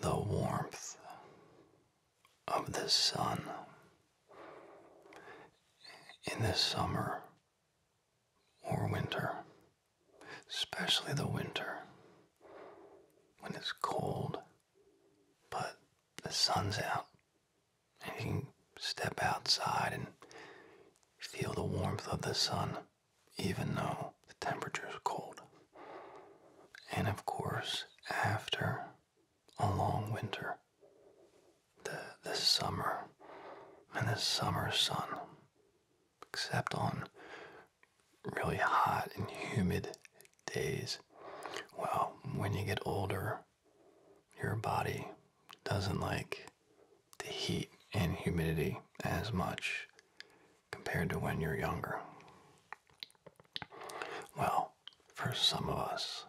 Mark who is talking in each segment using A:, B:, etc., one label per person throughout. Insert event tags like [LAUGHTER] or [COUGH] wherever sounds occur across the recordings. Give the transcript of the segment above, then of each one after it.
A: The warmth of the sun. In the summer or winter, especially the winter, when it's cold, but the sun's out, and you can step outside and feel the warmth of the sun, even though the temperature is cold. And of course, after a long winter. The, this summer and the summer sun, except on really hot and humid days. Well, when you get older, your body doesn't like the heat and humidity as much compared to when you're younger. Well, for some of us.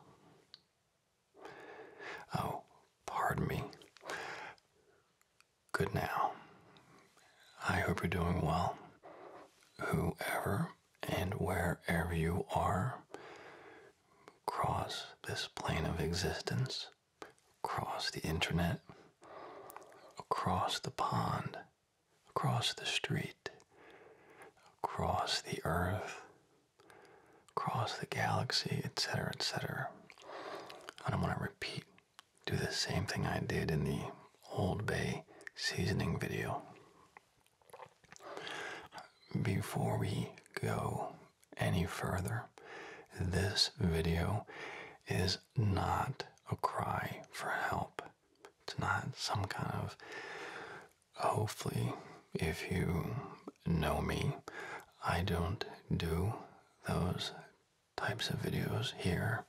A: Oh, pardon me. Good now. I hope you're doing well. Whoever and wherever you are, Across this plane of existence, across the internet, across the pond across the street, across the earth, across the galaxy, etc., etc. I don't want to repeat, do the same thing I did in the Old Bay seasoning video. Before we go any further, this video is not a cry for help. It's not some kind of hopefully, if you know me, I don't do those types of videos here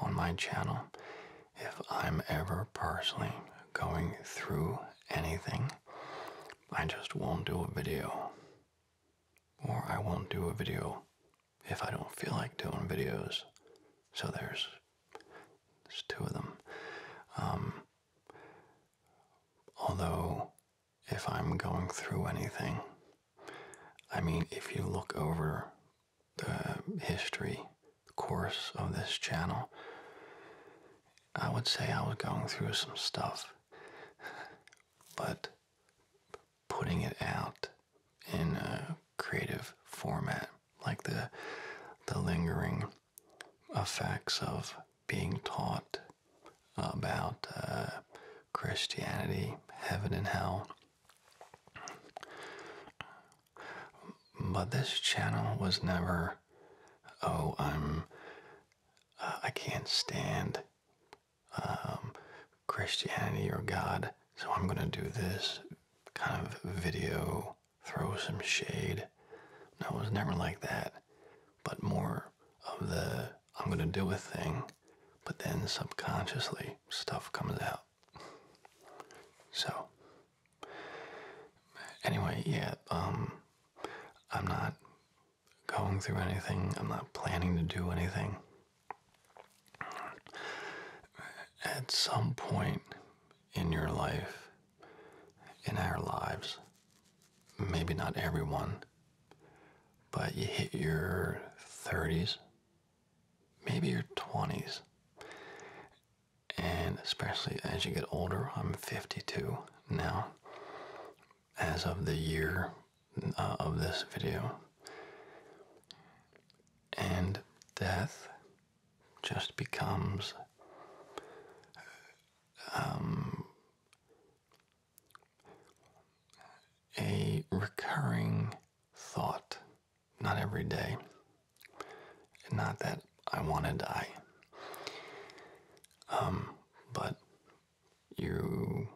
A: on my channel. If I'm ever personally going through anything, I just won't do a video. Or I won't do a video if I don't feel like doing videos. So there's there's two of them. Um, although, if I'm going through anything, I mean, if you look over the history course of this channel, I would say I was going through some stuff, but putting it out in a creative format, like the the lingering effects of being taught about uh, Christianity, heaven and hell. But this channel was never, oh, I'm, uh, I can't stand um, Christianity or God, so I'm going to do this kind of video throw some shade. No, it was never like that, but more of the I'm going to do a thing, but then subconsciously stuff comes out. So, anyway, yeah, um, I'm not going through anything, I'm not planning to do anything. At some point in your life, in our lives. Maybe not everyone, but you hit your 30s, maybe your 20s. And especially as you get older, I'm 52 now, as of the year uh, of this video. And death just becomes um, a recurring thought, not every day, not that I want to die, um, but you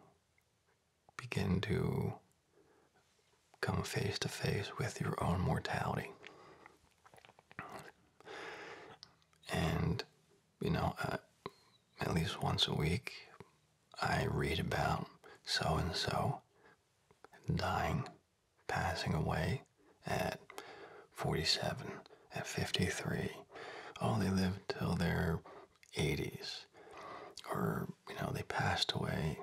A: begin to come face to face with your own mortality and, you know, uh, at least once a week, I read about so and so dying, passing away at 47, at 53. Oh, they lived till their 80s. Or, you know, they passed away,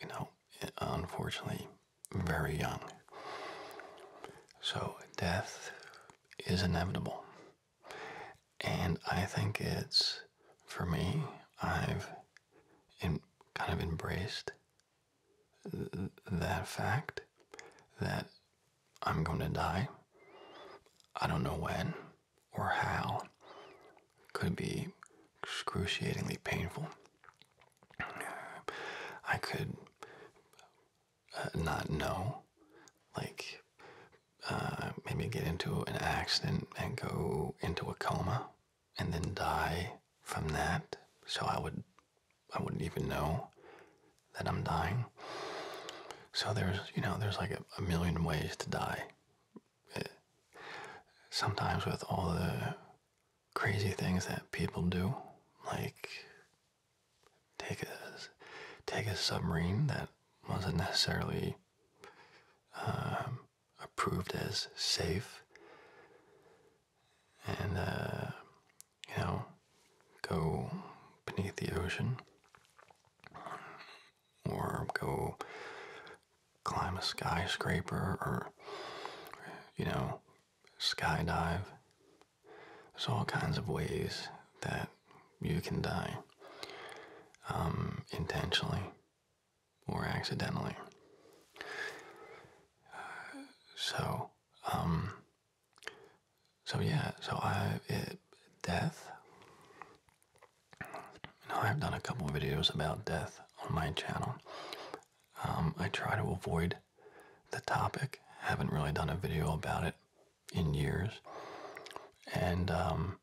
A: you know, unfortunately, very young. So death is inevitable. And I think it's, for me, I've in, kind of embraced that fact that I'm going to die. I don't know when or how. Could be excruciatingly painful. I could uh, not know, like uh, maybe get into an accident and go into a coma, and then die from that. So I would, I wouldn't even know that I'm dying. So there's, you know, there's like a million ways to die. Eh, sometimes with all the crazy things that people do, like take a take a submarine that wasn't necessarily um, approved as safe, and uh, you know, go beneath the ocean or go climb a skyscraper or you know skydive. There's all kinds of ways that you can die um, intentionally or accidentally. so, um, so yeah, so I, it, death. I've done a couple videos about death on my channel. Um, I try to avoid the topic. Haven't really done a video about it in years. And um,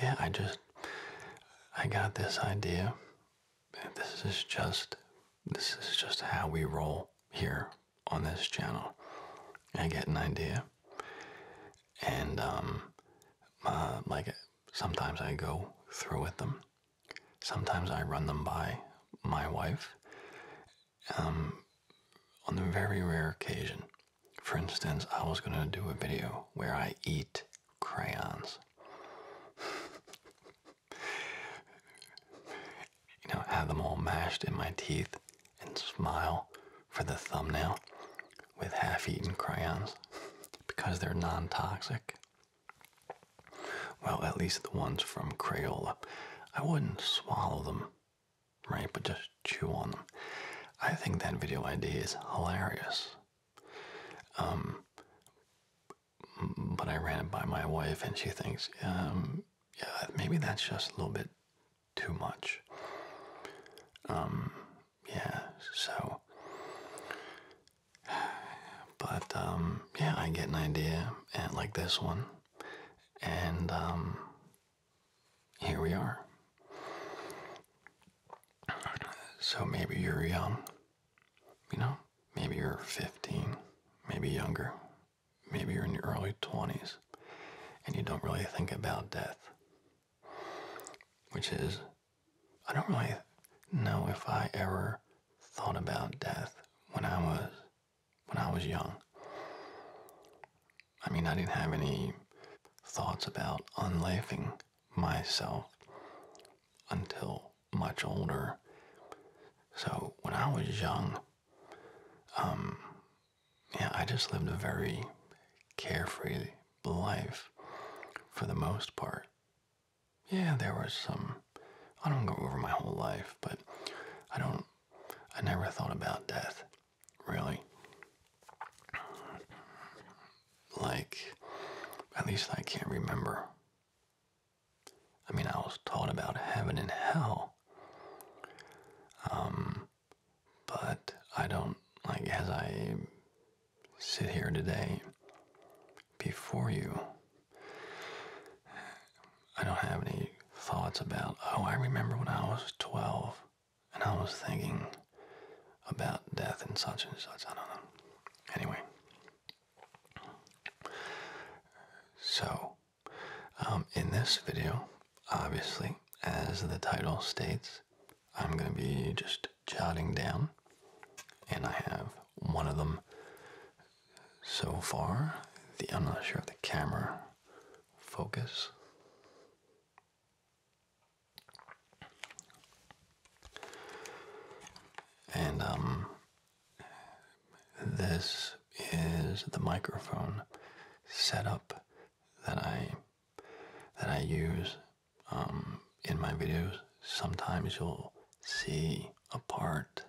A: yeah, I just I got this idea. This is just this is just how we roll here on this channel. I get an idea, and um, uh, like sometimes I go through with them Sometimes I run them by my wife um, on the very rare occasion. For instance, I was going to do a video where I eat crayons. [LAUGHS] you know, have them all mashed in my teeth and smile for the thumbnail with half eaten crayons [LAUGHS] because they're non toxic. Well, at least the ones from Crayola. I wouldn't swallow them, right? But just chew on them. I think that video idea is hilarious. Um, but I ran it by my wife, and she thinks, um, yeah, maybe that's just a little bit too much. Um, yeah, so but um, yeah, I get an idea and like this one, and um, here we are. So maybe you're young, you know, maybe you're 15, maybe younger, maybe you're in your early 20s, and you don't really think about death. Which is, I don't really know if I ever thought about death when I was when I was young. I mean, I didn't have any thoughts about unlifing myself until much older. So when I was young, um, yeah, I just lived a very carefree life for the most part yeah, there was some. I don't go over my whole life, but I don't. I never thought about death, really. Like, at least I can't remember. I mean, I was taught about heaven and hell. Um, but I don't, like, as I sit here today before you. I don't have any thoughts about, oh, I remember when I was 12 and I was thinking about death and such and such. I don't know. Anyway. So, um, in this video, obviously, as the title states, I'm going to be just jotting down, and I have one of them so far. The I'm not sure if the camera focus. And um this is the microphone setup that I that I use um in my videos. Sometimes you'll see a part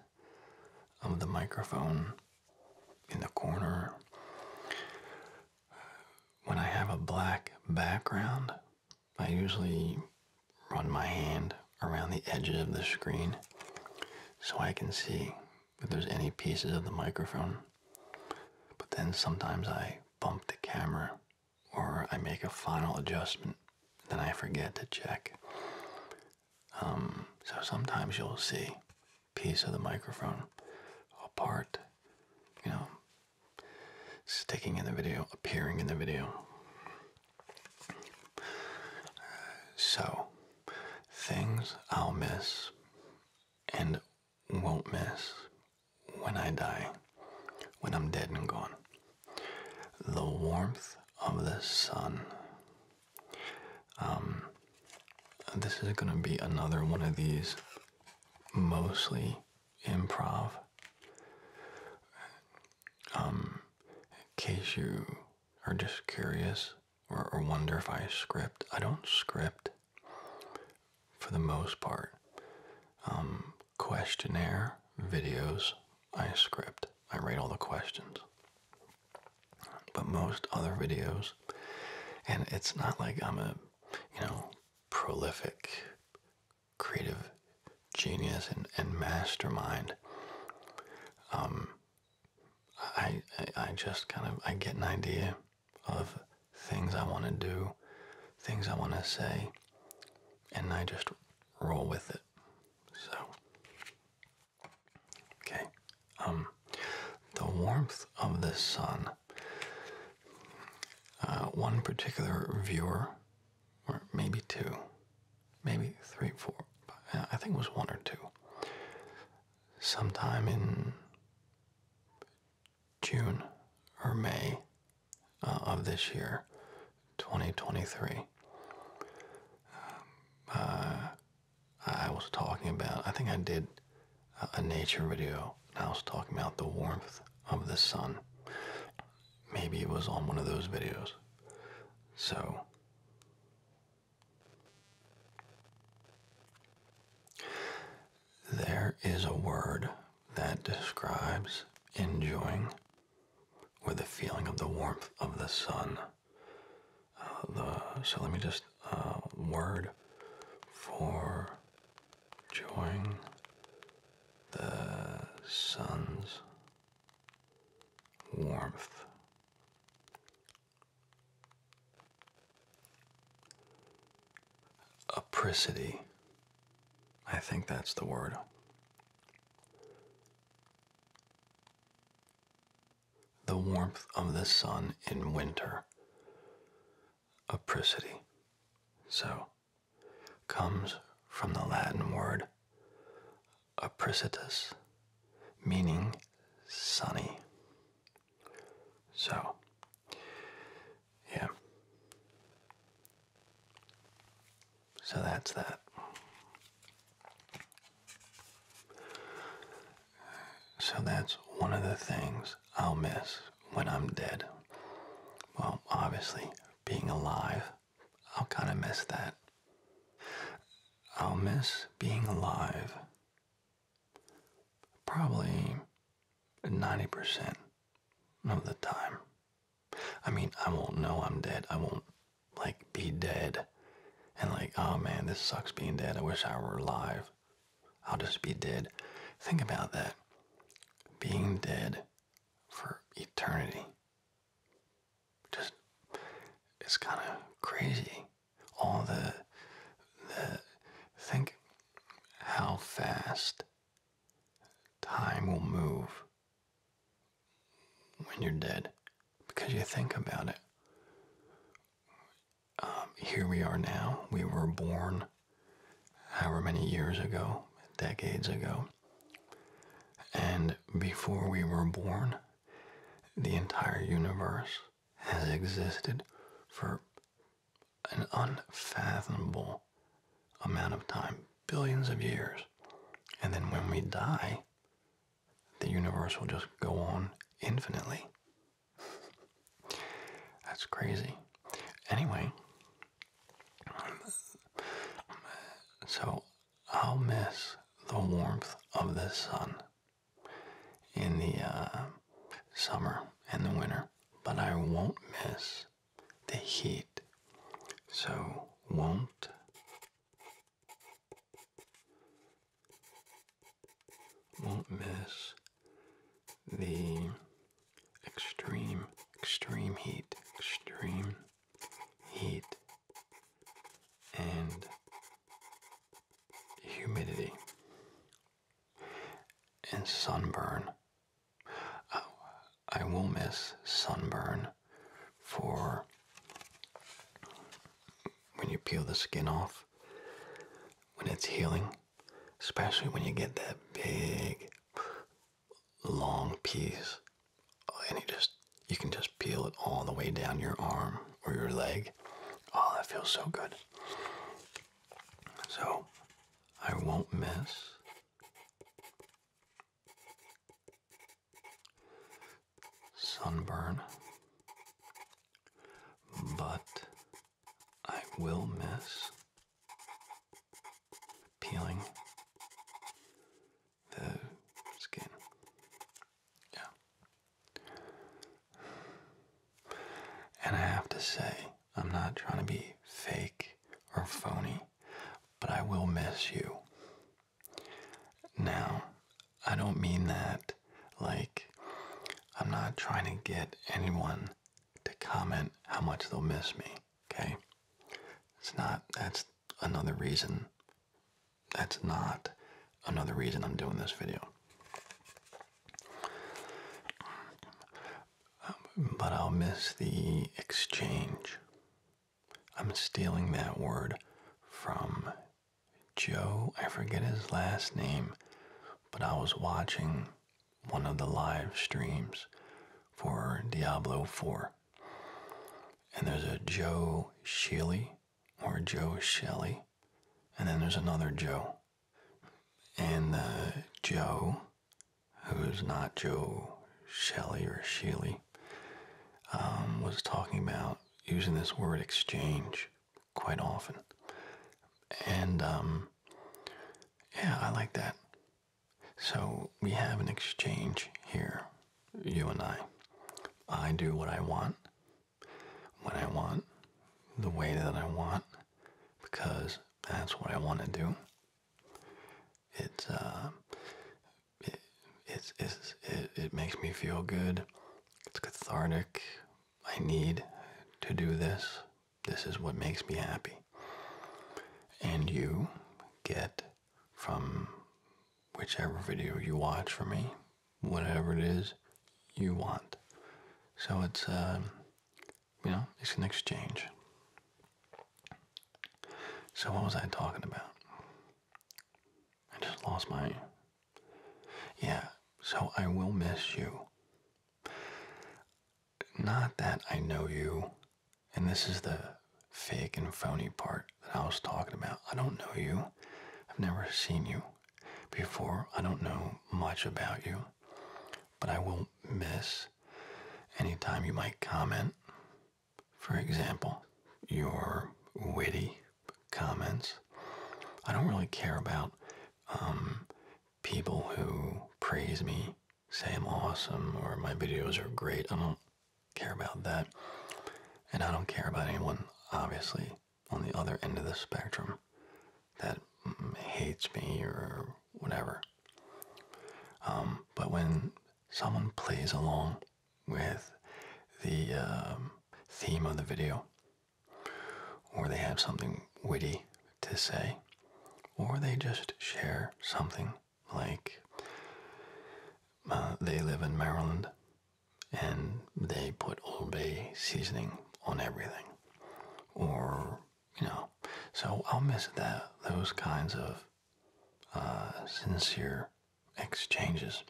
A: of the microphone in the corner. When I have a black background, I usually run my hand around the edges of the screen so I can see if there's any pieces of the microphone. But then sometimes I bump the camera or I make a final adjustment, then I forget to check. Um, so sometimes you'll see piece of the microphone part, you know, sticking in the video, appearing in the video. So, things I'll miss and won't miss when I die, when I'm dead and gone the warmth of the sun. Um, this is going to be another one of these mostly improv. Um, in case you are just curious or, wonder if I script, I don't script for the most part. Um, questionnaire videos I script, I write all the questions. But most other videos, and it's not like I'm a, you know, prolific creative genius and, and mastermind. Um, I, I, just kind of, I get an idea of things I want to do, things I want to say, and I just roll with it. So, Okay, um, the warmth of the sun. Uh, one particular viewer, or maybe two, maybe three, four. Uh, I think it was one or two. Sometime in June or May uh, of this year, 2023. Um, I was talking about, I think I did a, nature video, I was talking about the warmth of the sun. Maybe it was on one of those videos. So, there is a word that describes enjoying or the feeling of the warmth of the sun the uh, so let me just uh, word for join the sun's warmth. Apricity. I think that's the word the warmth of the sun in winter, a So, comes from the Latin word apricitus, meaning sunny. So, yeah. So that's that. So that's one of the things I'll miss when I'm dead. Well, obviously, being alive, I'll kind of miss that. I'll miss being alive probably 90% of the time. I mean, I won't know I'm dead. I won't like be dead and like oh man this sucks being dead i wish i were alive i'll just be dead think about that being dead for eternity just it's kind of crazy all the the think how fast time will move when you're dead because you think about it. Um, here we are now. We were born however many years ago, decades ago. And before we were born, the entire universe has existed for an unfathomable amount of time, billions of years. And then when we die, the universe will just go on infinitely. That's crazy. Anyway, so I'll miss the warmth of the sun in the uh, summer and the winter, but I won't miss the heat. So, won't won't miss the extreme, extreme heat, extreme heat, and humidity and sunburn. Oh, I will miss sunburn for when you peel the skin off, when it's healing, especially when you get that big, long piece, and you just you can just peel it all the way down your arm or your leg. Oh, that feels so good. So, I won't miss sunburn, but I will miss peeling the skin. Yeah. And I have to say, I'm not trying to be fake or phony, but I will miss you. Now, I don't mean that like I'm not trying to get anyone to comment how much they'll miss me, okay? It's not, that's another reason. That's not another reason I'm doing this video. Um, but I'll miss the exchange. I'm stealing that word from Joe, I forget his last name, but I was watching one of the live streams for Diablo 4. And there's a Joe Shealy or Joe Shelley, and then there's another Joe. And uh, Joe, who's not Joe Shelley or Shealy, um, was talking about using this word exchange quite often. And um, yeah, I like that. So we have an exchange here, you and I. I do what I want, when I want, the way that I want, because that's what I want to do. It's uh, it, it's, it, it makes me feel good. It's cathartic. I need to do this. This is what makes me happy. And you get from whichever video you watch for me, whatever it is you want. So it's, um, you know, it's an exchange. So what was I talking about? I just lost my. Yeah, so I will miss you. Not that I know you, and this is the fake and phony part that I was talking about. I don't know you. I've never seen you before. I don't know much about you, but I will miss any time you might comment for example, your witty comments. I don't really care about um, people who praise me, say I'm awesome, or my videos are great. I don't care about that. And I don't care about anyone, obviously, on the other end of the spectrum that hates me or whatever. Um, but when someone plays along with the um, theme of the video, or they have something witty to say, or they just share something like uh, they live in Maryland and they put Old Bay seasoning on everything, or you know. So I'll miss that those kinds of uh, sincere exchanges.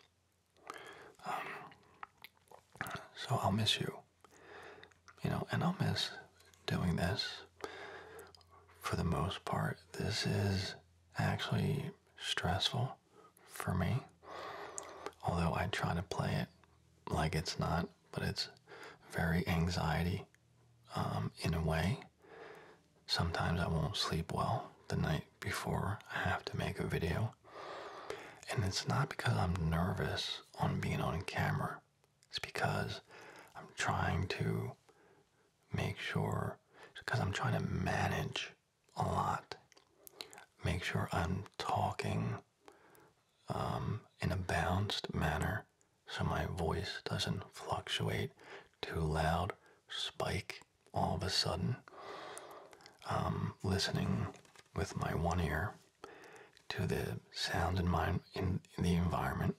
A: Um, so I'll miss you, you know, and I'll miss doing this. For the most part, this is actually stressful for me, although I try to play it like it's not, but it's very anxiety um, in a way. Sometimes I won't sleep well the night before I have to make a video. And it's not because I'm nervous on being on camera. It's because I'm trying to make sure, because I'm trying to manage a lot. Make sure I'm talking um, in a balanced manner so my voice doesn't fluctuate too loud, spike, all of a sudden, um, listening with my one ear to the sound in my in, the environment,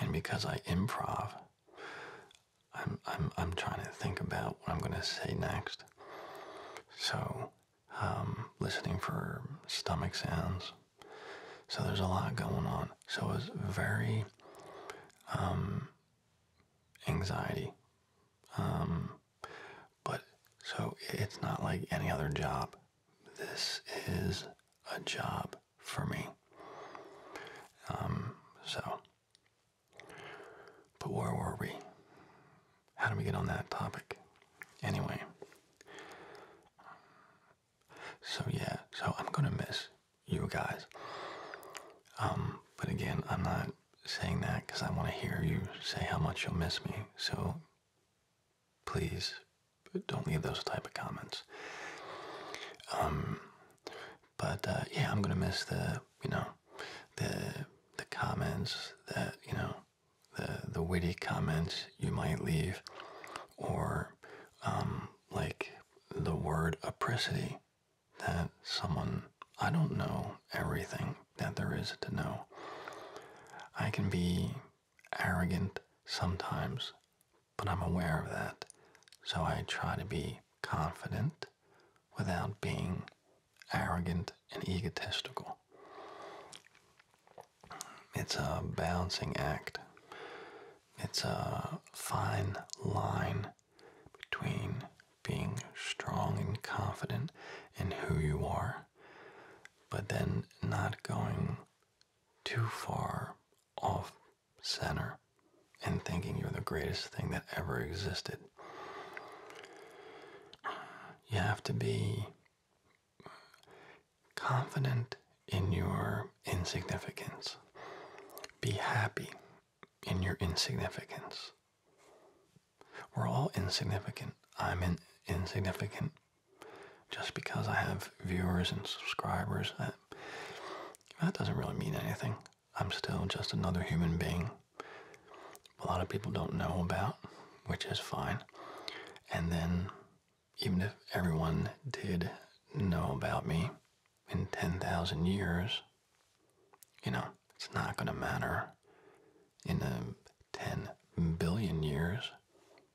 A: and because I improv, I'm I'm I'm trying to think about what I'm going to say next. So, um, listening for stomach sounds. So there's a lot going on. So it was very um, anxiety. Um, but so it's not like any other job. This is a job for me. Um, so, but where were we? How do we get on that topic? Anyway, so yeah, so I'm gonna miss you guys. Um, but again, I'm not saying that because I want to hear you say how much you'll miss me. So please don't leave those type of comments. Um, but uh, yeah, I'm gonna miss the you know the the comments that you know the the witty comments you might leave, or um, like the word apricity that someone, I don't know everything that there is to know. I can be arrogant sometimes, but I'm aware of that. So I try to be confident without being arrogant and egotistical. It's a balancing act. It's a fine line between being strong and confident in who you are, but then not going too far off center and thinking you're the greatest thing that ever existed. You have to be confident in your insignificance. Be happy in your insignificance. We're all insignificant. I'm insignificant. Just because I have viewers and subscribers, that doesn't really mean anything. I'm still just another human being. A lot of people don't know about, which is fine. And then, even if everyone did know about me, in 10,000 years, you know, it's not going to matter. In uh, 10 billion years,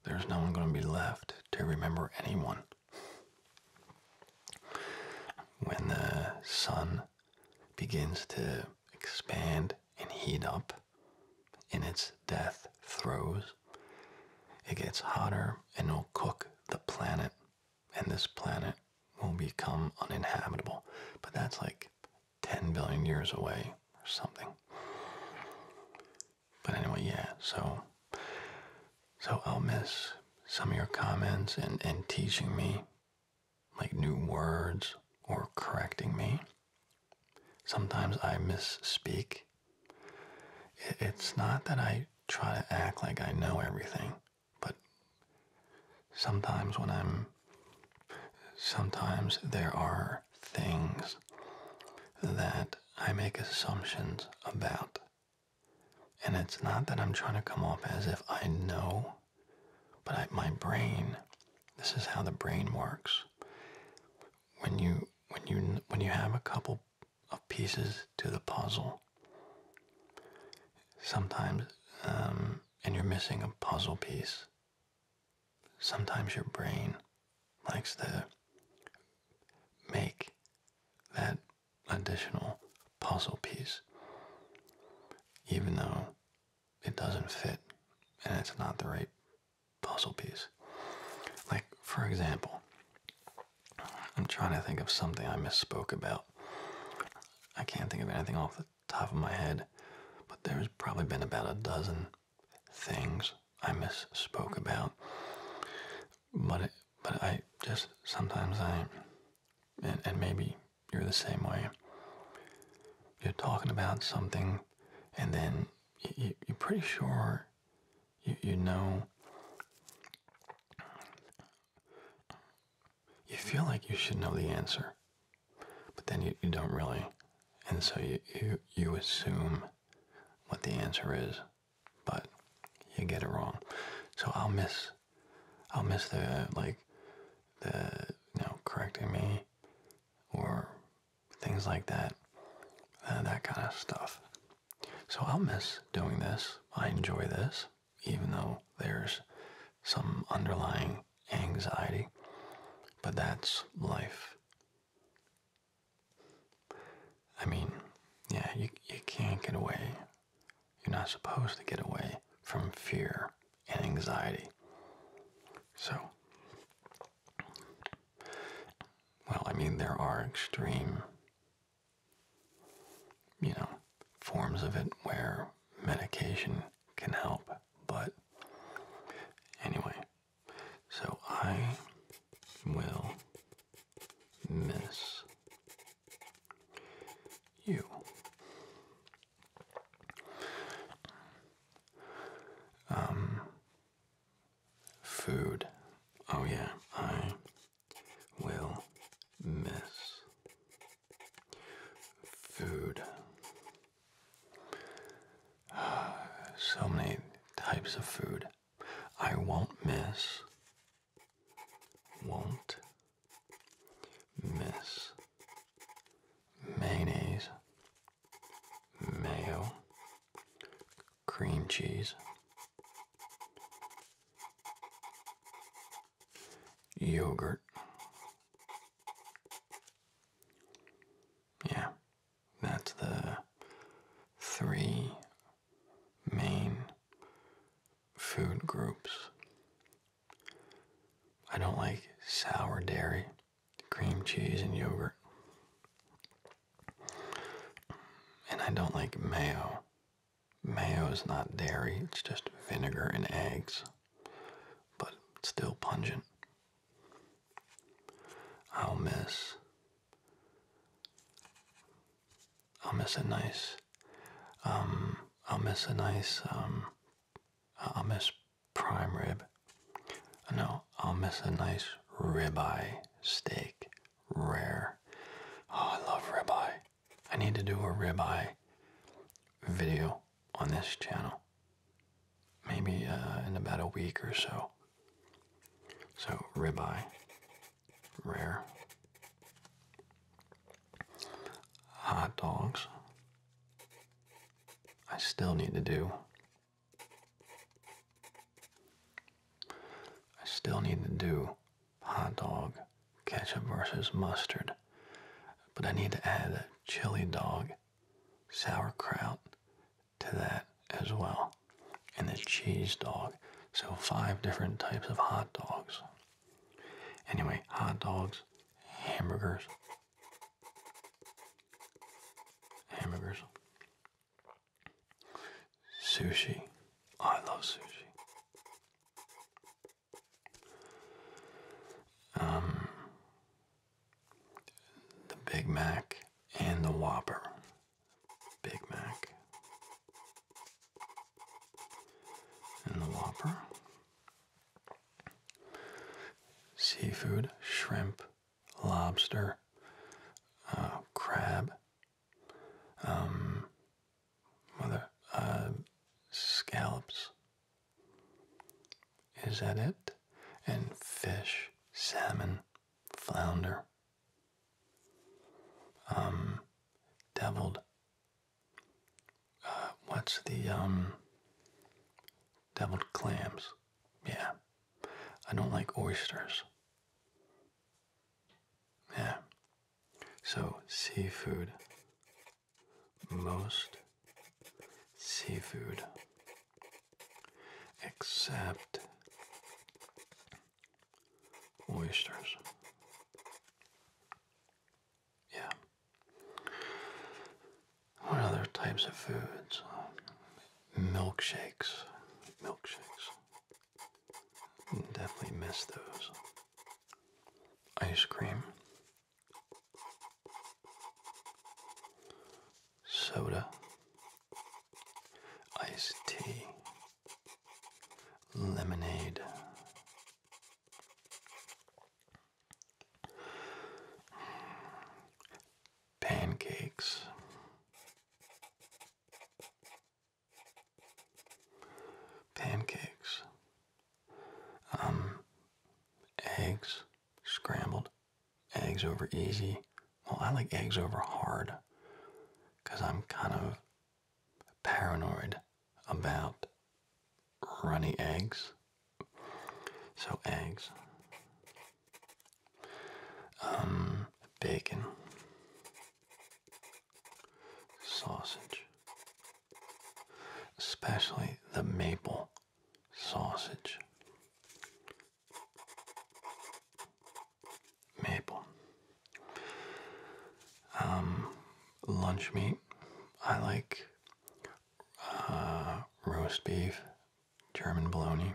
A: there's no one going to be left to remember anyone. When the sun begins to expand and heat up in its death throes, it gets hotter and will cook the planet and this planet will become uninhabitable. But that's like 10 billion years away or something. But anyway, yeah, so so I'll miss some of your comments and, and teaching me like new words or correcting me. Sometimes I misspeak. it's not that I try to act like I know everything. But sometimes when I'm. Sometimes there are things that I make assumptions about. And it's not that I'm trying to come off as if I know, but my brain, this is how the brain works. When you when you when you have a couple of pieces to the puzzle, Sometimes, um, and you're missing a puzzle piece. Sometimes your brain likes to make that additional puzzle piece, even though it doesn't fit and it's not the right puzzle piece. Like, for example, I'm trying to think of something I misspoke about. I can't think of anything off the top of my head, but there's probably been about a dozen things I misspoke about. But but I just sometimes I and, maybe you're the same way. You're talking about something, and then you, you're pretty sure you, you know you feel like you should know the answer, but then you, you don't really. And so you, you, you assume what the answer is, but you get it wrong. So I'll miss, I'll miss the, like, the, you know, correcting me or things like that, uh, that kind of stuff. So I'll miss doing this. I enjoy this even though there's some underlying anxiety. But that's life. I mean, yeah, you, you can't get away. You're not supposed to get away from fear and anxiety. So, well, I mean, there are extreme you know, forms of it where medication can help. But anyway, so I will miss you. Um, food. Oh, yeah, I will miss food. [SIGHS] So many types of food. I won't miss. Won't miss mayonnaise, mayo, cream cheese, Yogurt. Yeah, that's the three main food groups. I don't like sour dairy, cream cheese, and yogurt. And I don't like mayo Mayo is not dairy, it's just vinegar and eggs, but still pungent. I'll miss. I'll miss a nice. Um, I'll miss a nice. Um, I'll miss prime rib. No, I'll miss a nice ribeye steak, rare. Oh, I love ribeye. I need to do a ribeye video on this channel. Maybe uh, in about a week or so. So, ribeye, rare, hot dogs. I still need to do. I still need to do hot dog, ketchup versus mustard. But I need to add a chili dog, sauerkraut to that as well, and a cheese dog. So five different types of hot dogs. Anyway, hot dogs, hamburgers, hamburgers, sushi. I love sushi. Um, the Big Mac and the Whopper. Big Mac and the Whopper. Seafood, shrimp, lobster, uh, crab, um, Mother, uh, scallops. Is that it? And fish, salmon, flounder, um, deviled. Uh, what's the um, deviled clams? Yeah, I don't like oysters. Yeah, so, seafood. Most seafood. Except oysters. Yeah. What other types of foods? Milkshakes. Milkshakes. Definitely miss those ice cream, soda, iced tea, lemonade. Pancakes, pancakes, um, eggs, scrambled, eggs over easy. Well, I like eggs over hard because I'm kind of paranoid about runny eggs. So, eggs, um, bacon, sausage, especially the maple sausage. Maple. Um, lunch meat. I like uh, roast beef, German bologna,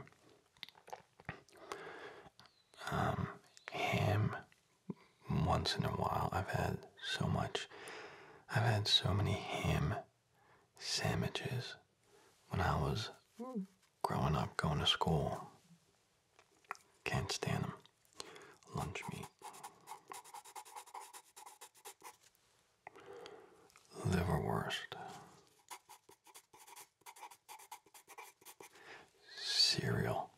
A: um, ham, once in a while. I've had so much. I've had so many ham sandwiches when I was growing up, going to school. Can't stand them. Lunch meat. Liverwurst. Cereal.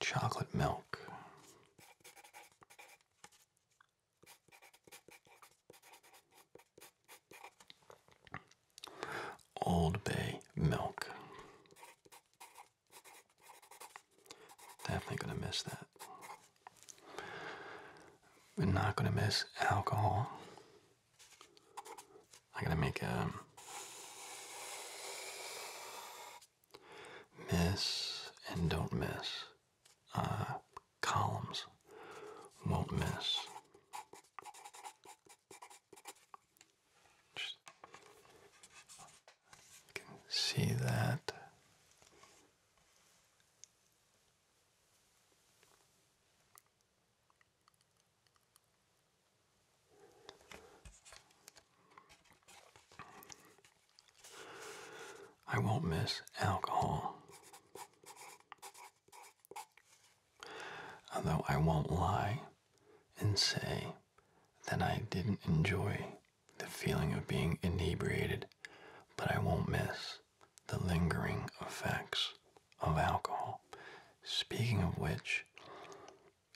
A: Chocolate milk. Old Bay milk. Definitely gonna miss that. We're not gonna miss alcohol. I gotta make a miss and don't miss. Uh, columns won't miss. see that. I won't miss alcohol. Although I won't lie and say that I didn't enjoy the feeling of being inebriated, but I won't miss the lingering effects of alcohol. Speaking of which,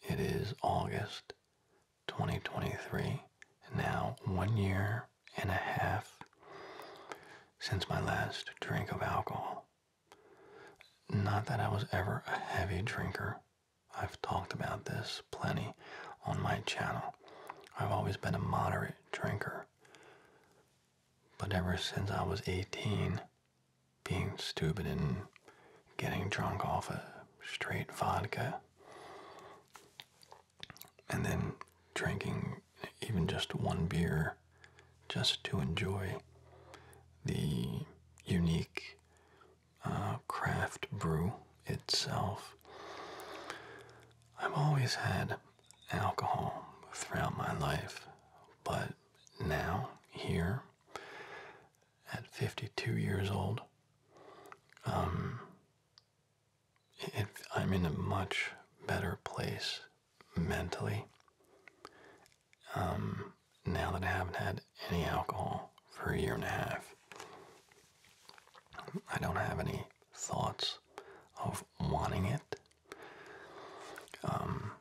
A: it is August 2023, now one year and a half since my last drink of alcohol. Not that I was ever a heavy drinker. I've talked about this plenty on my channel. I've always been a moderate drinker. But ever since I was 18, being stupid and getting drunk off a of straight vodka, and then drinking even just one beer just to enjoy the unique uh, craft brew itself. I've always had alcohol throughout my life, but now, here at 52 years old, um, I'm in a much better place mentally um, now that I haven't had any alcohol for a year and a half. I don't have any thoughts of wanting it. Um,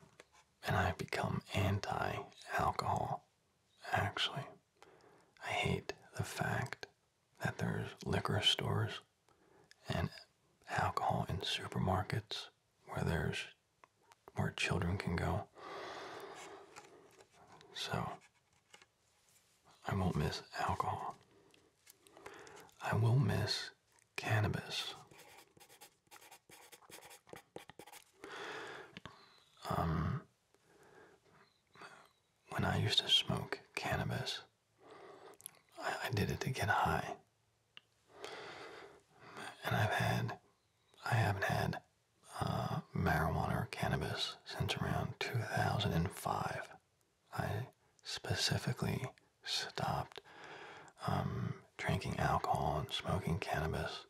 A: and i become anti alcohol, actually. I hate the fact that there's liquor stores and alcohol in supermarkets where there's where children can go. So I won't miss alcohol. I will miss cannabis. Um, when I used to smoke cannabis, I, did it to get high. And I've had, I haven't had uh, marijuana or cannabis since around 2005. I specifically stopped um, drinking alcohol and smoking cannabis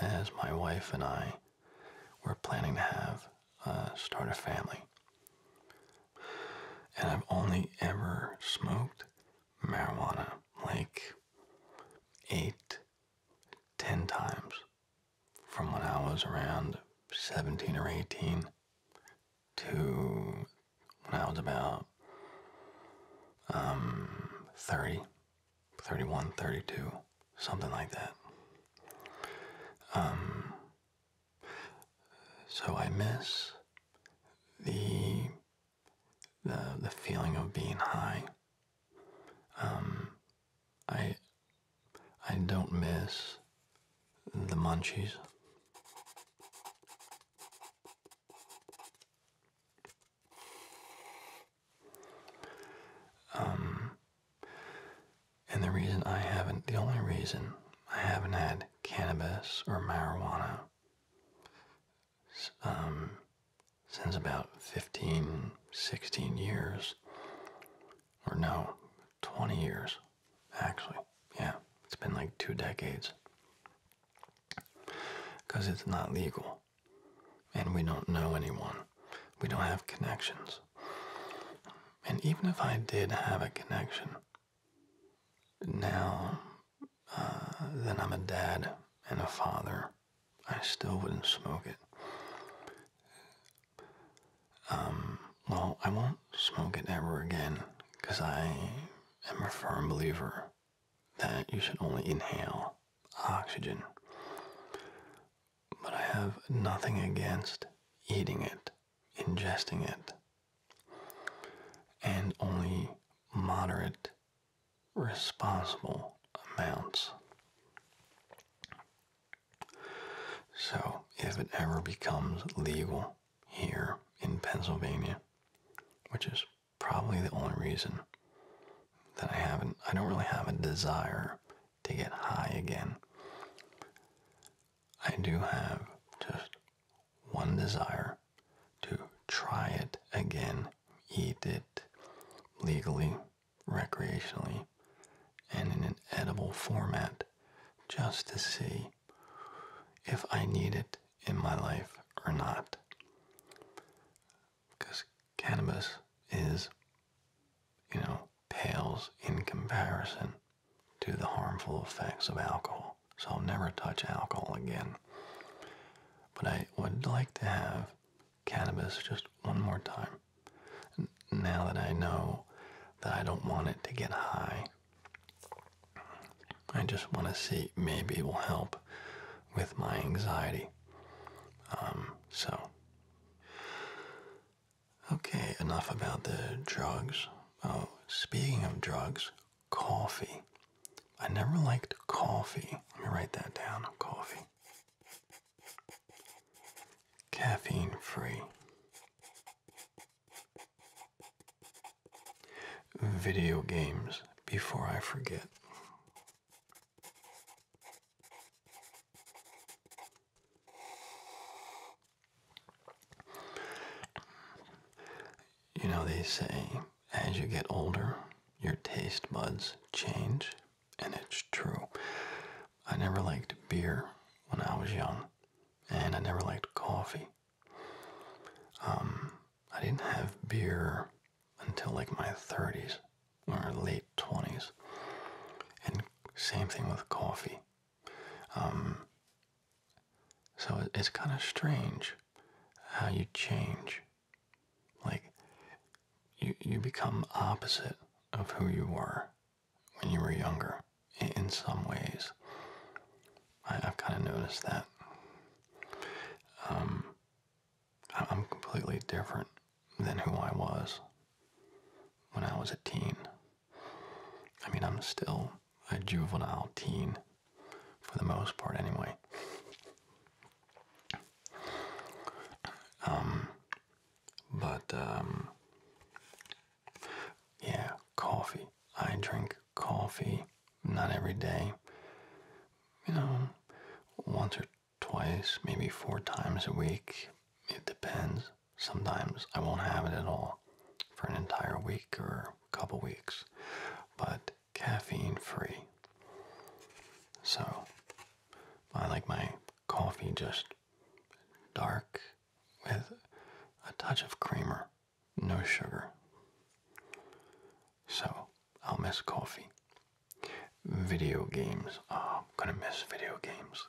A: as my wife and I were planning to have uh, start a family. And I've only ever smoked marijuana like eight, ten times from when I was around 17 or 18 to when I was about um, 30, 31, 32, something like that. Um, so I miss the, the, the feeling of being high. Um, I, I don't miss the munchies. Um, and the reason I haven't, the only reason I haven't had cannabis or marijuana um, since about 15, 16 years, or no, 20 years, actually. Yeah, it's been like two decades because it's not legal. And we don't know anyone. We don't have connections. And even if I did have a connection, now uh, then I'm a dad and a father, I still wouldn't smoke it. Um, well, I won't smoke it ever again because I i am a firm believer that you should only inhale oxygen. But I have nothing against eating it, ingesting it, and only moderate, responsible amounts. So, if it ever becomes legal here in Pennsylvania, which is probably the only reason that I haven't, I don't really have a desire to get high again. I do have just one desire to try it again, eat it legally, recreationally, and in an edible format just to see if I need it in my life or not. Because cannabis is, you know, pales in comparison to the harmful effects of alcohol. So I'll never touch alcohol again. But I would like to have cannabis just one more time. Now that I know that I don't want it to get high I just want to see, maybe it will help with my anxiety. Um, so, okay, enough about the drugs. Oh, speaking of drugs, coffee. I never liked coffee. Let me write that down coffee. Caffeine free. Video games before I forget. You know, they say as you get older, your taste buds change, and it's true. I never liked beer when I was young, and I never liked coffee um, I didn't have beer until like my 30s or late 20s. And same thing with coffee. Um, so it's kind of strange how you change. Like, you, you become opposite of who you were when you were younger in some ways. I, have kind of noticed that. Um, I, am completely different than who I was when I was a teen. I mean, I'm still a juvenile teen, for the most part, anyway. Um, but, um, yeah, coffee. I drink coffee not every day, you know, once or twice, maybe four times a week. It depends. Sometimes I won't have it at all for an entire week or a couple weeks, but caffeine free. So I like my coffee just dark with a touch of creamer no sugar. So, I'll miss coffee. Video games. Oh, I'm gonna miss video games.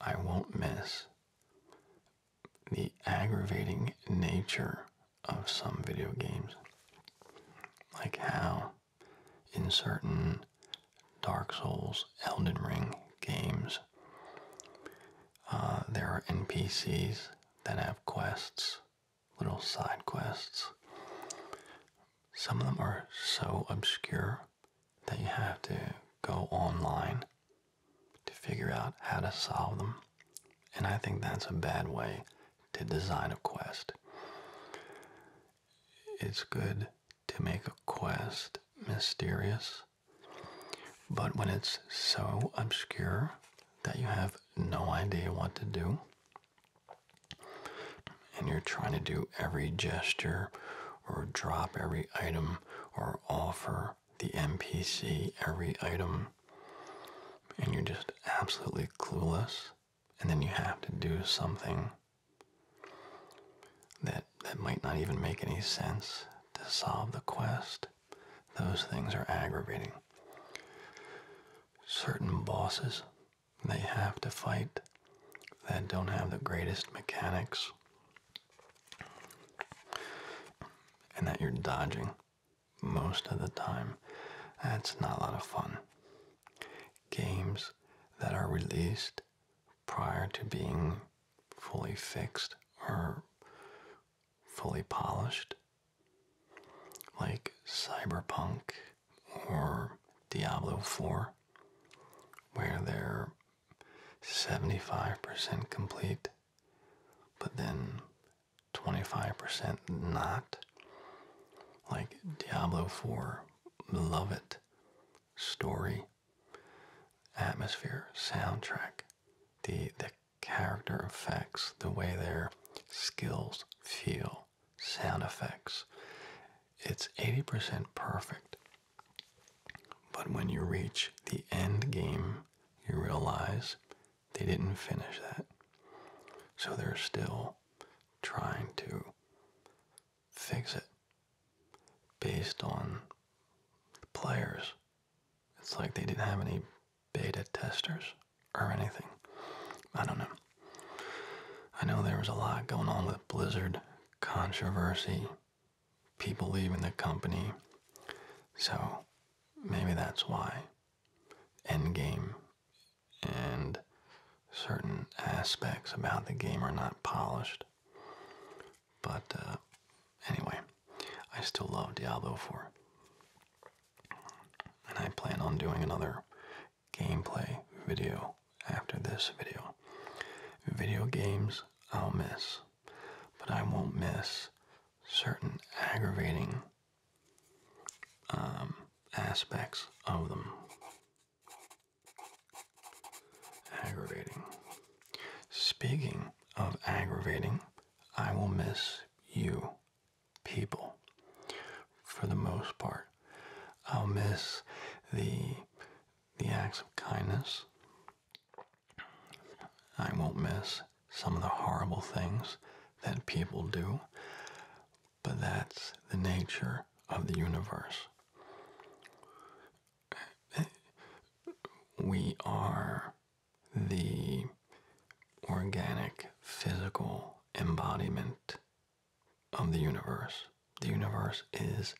A: I won't miss the aggravating nature of some video games. Like how, in certain Dark Souls, Elden Ring games, uh, there are NPCs that have quests, little side quests. Some of them are so obscure that you have to go online to figure out how to solve them. And I think that's a bad way to design a quest. It's good to make a quest mysterious, but when it's so obscure that you have no idea what to do and you're trying to do every gesture or drop every item or offer the NPC every item and you're just absolutely clueless and then you have to do something that that might not even make any sense to solve the quest those things are aggravating. Certain bosses they have to fight that don't have the greatest mechanics and that you're dodging most of the time. That's not a lot of fun. Games that are released prior to being fully fixed are fully polished, like Cyberpunk or Diablo 4, where they're 75% complete, but then 25% not. Like Diablo 4, love it. Story, atmosphere, soundtrack, the the character effects, the way their skills feel, sound effects. It's 80% perfect. But when you reach the end game, you realize they didn't finish that. So they're still trying to fix it based on players it's like they didn't have any beta testers or anything. I don't know. I know there was a lot going on with Blizzard controversy, people leaving the company, so maybe that's why Endgame and certain aspects about the game are not polished. But uh, anyway, I still love Diablo 4 and I plan on doing another gameplay video after this video. Video games I'll miss, but I won't miss certain aggravating um, aspects of them. Aggravating. Speaking of aggravating, I will miss you people for the most part. I'll miss the the acts of kindness. I won't miss some of the horrible things that people do, but that's the nature of the universe. We are the organic physical embodiment of the universe. The universe is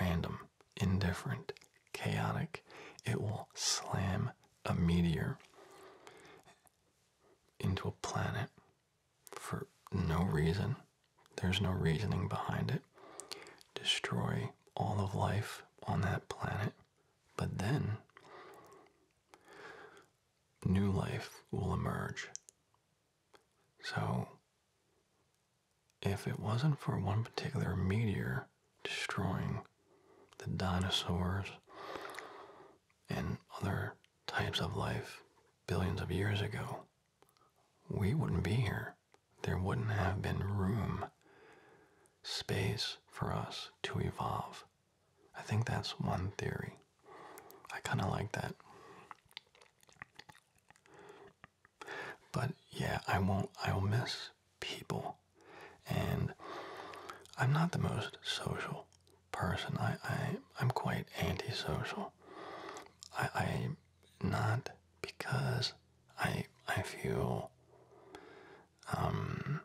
A: random, indifferent, chaotic. It will slam a meteor into a planet for no reason. There's no reasoning behind it. Destroy all of life on that planet but then, new life will emerge. So, if it wasn't for one particular meteor destroying the dinosaurs and other types of life billions of years ago, we wouldn't be here. There wouldn't have been room, space for us to evolve. I think that's one theory. I kind of like that. But yeah, I won't, I'll miss people. And I'm not the most social person. I, I, am quite antisocial. I, I, am not because I, I feel, um,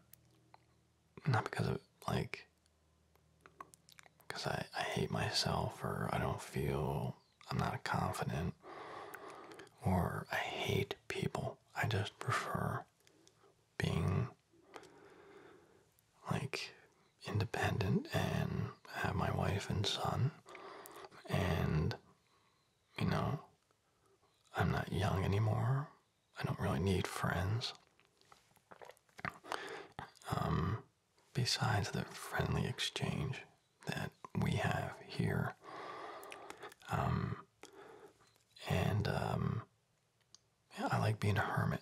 A: not because of like because I, I hate myself or I don't feel I'm not confident or I hate people. I just prefer being like independent and have my wife and son and you know I'm not young anymore I don't really need friends. Um, besides the friendly exchange that we have here. Um, and um, I like being a hermit.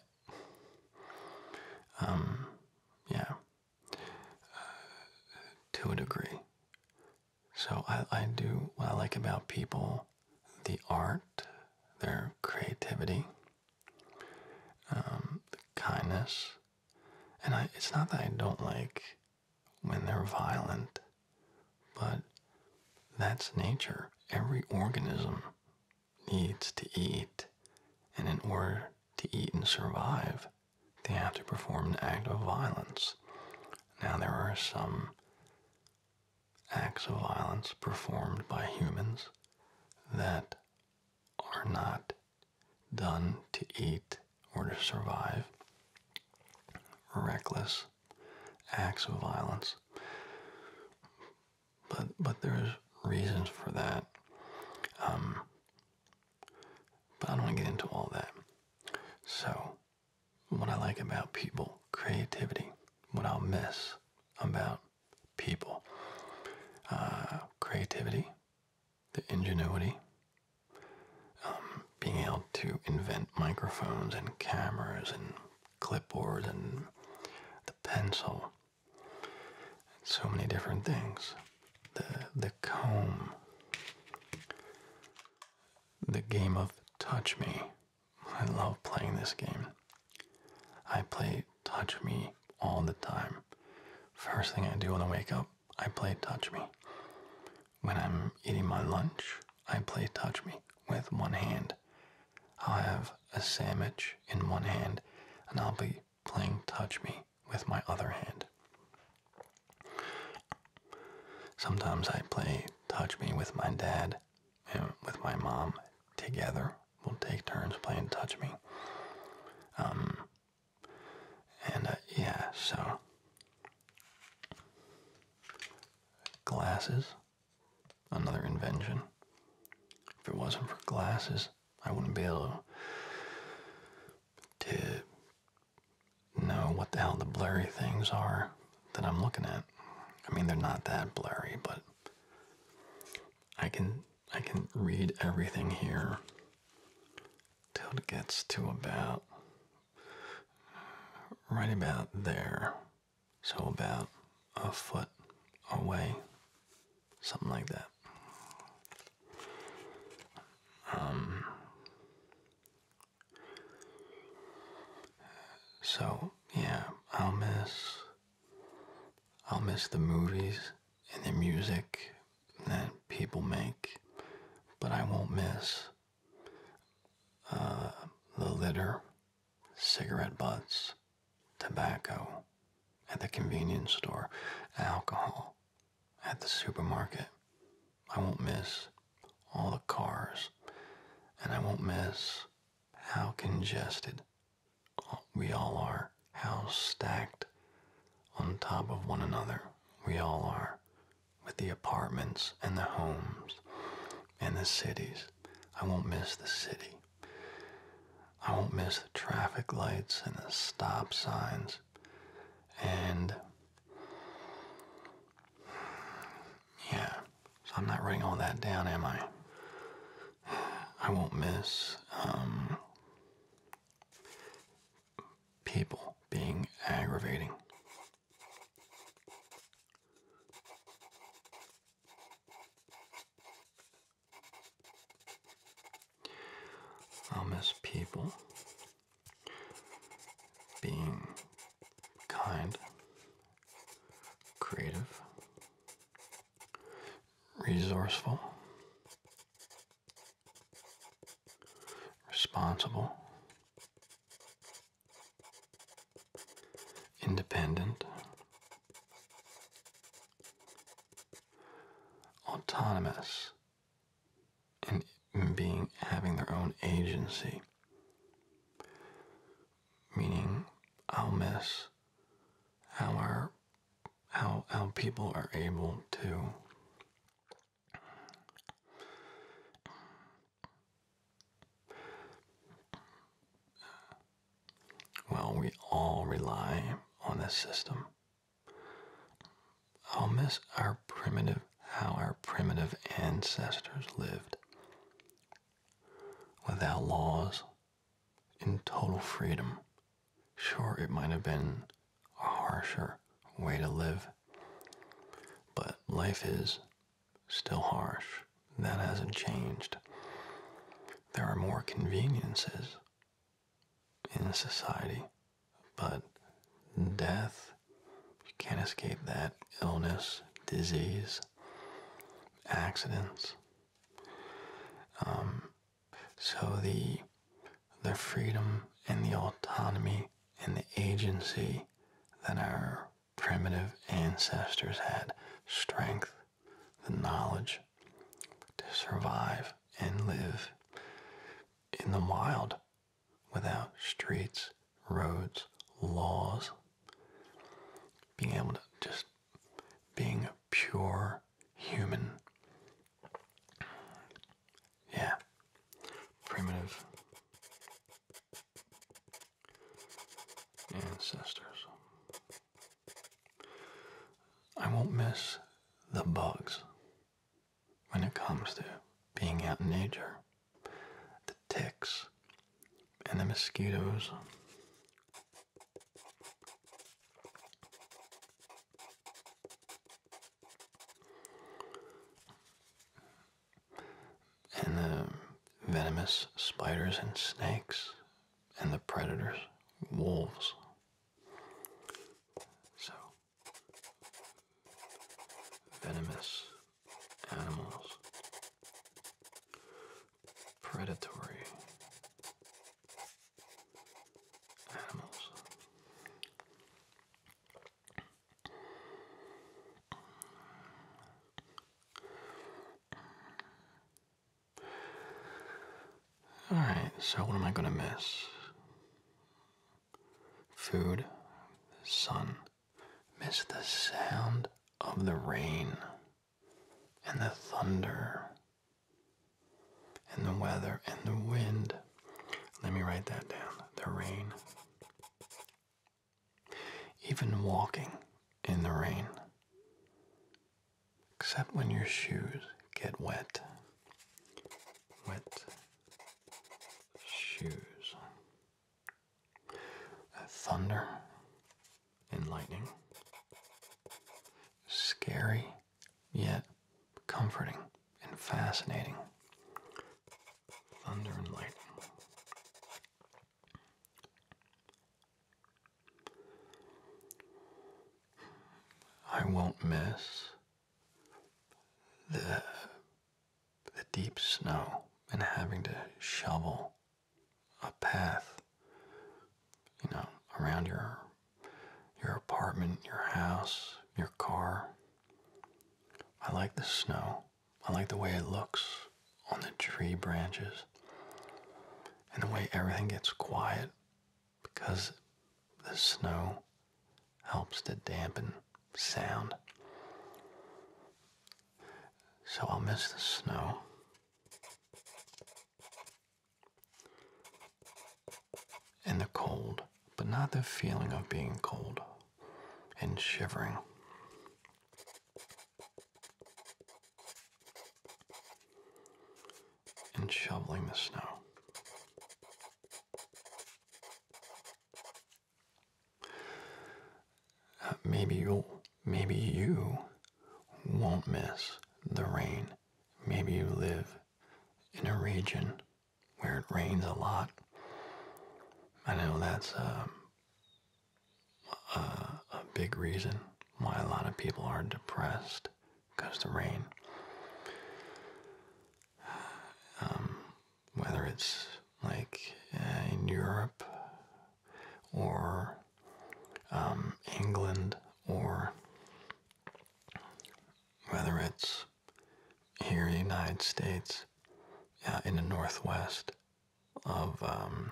A: yeah, uh, to a degree. So I, I do what I like about people the art, their creativity, um, the kindness. And I, it's not that I don't like when they're violent, but that's nature. Every organism needs to eat, and in order to eat and survive, they have to perform an act of violence. Now, there are some acts of violence performed by humans that are not done to eat or to survive, reckless acts of violence. But but there's reasons for that. Um, but I don't want to get into all that. So what I like about people, creativity, what I'll miss about people, uh, creativity, the ingenuity, um, being able to invent microphones and cameras and clipboards and the pencil, so many different things, the, the comb, the game of touch me. I love playing this game. I play Touch Me all the time. First thing I do when I wake up, I play Touch Me. When I'm eating my lunch, I play Touch Me with one hand. I'll have a sandwich in one hand and I'll be playing Touch Me with my other hand. Sometimes I play Touch Me with my dad with my mom together. We'll take turns playing Touch Me. Um, and uh, yeah, so glasses, another invention. If it wasn't for glasses, I wouldn't be able to know what the hell the blurry things are that I'm looking at. I mean, they're not that blurry, but I can I can read everything here till it gets to about right about there. So about a foot away, something like that. Um, so, yeah, I'll miss I'll miss the movies and the music that people make, but I won't miss uh, the litter, cigarette butts, tobacco at the convenience store, alcohol at the supermarket. I won't miss all the cars, and I won't miss how congested we all are, how stacked on top of one another we all are with the apartments and the homes and the cities. I won't miss the city. I won't miss the traffic lights and the stop signs and yeah. So I'm not writing all that down, am I? I won't miss um, people being aggravating. I'll miss people being kind creative, resourceful, responsible, independent, autonomous, and being having their own agency Meaning, I'll miss how our how how people are able to well, we all rely on this system. I'll miss our primitive, how our primitive ancestors lived without laws, in total freedom. Sure, it might have been a harsher way to live, but life is still harsh. That hasn't changed. There are more conveniences in society, but death, you can't escape that. Illness, disease, accidents. Um, so the the freedom and the autonomy and the agency that our primitive ancestors had, strength, the knowledge to survive and live in the wild without streets roads, laws, being able to just being pure human. Yeah, primitive ancestors. I won't miss the bugs when it comes to being out in nature the ticks, and the mosquitoes. And the venomous spiders and snakes, and the predators, wolves. So, venomous animals, predatory animals. All right, so what am I going to miss? Food, sun, Miss the sound of the rain and the thunder and the weather and the wind. Let me write that down. The rain. Even walking in the rain. Except when your shoes get wet. Wet shoes. Uh, thunder and lightning. Scary, yet comforting and fascinating. Thunder and lightning. I won't miss the, the deep snow and having to shovel a path, you know, around your your apartment, your house, your car. I like the snow. I like the way it looks on the tree branches and the way everything gets quiet because the snow helps to dampen sound. So I'll miss the snow and the cold, but not the feeling of being cold and shivering. And shoveling the snow. Uh, maybe you'll Maybe you won't miss the rain. Maybe you live in a region where it rains a lot. I know that's a, uh, uh, a, big reason why a lot of people are depressed because the rain. Um, whether it's like in Europe or um, England or whether it's here in the United States, uh, in the northwest of um,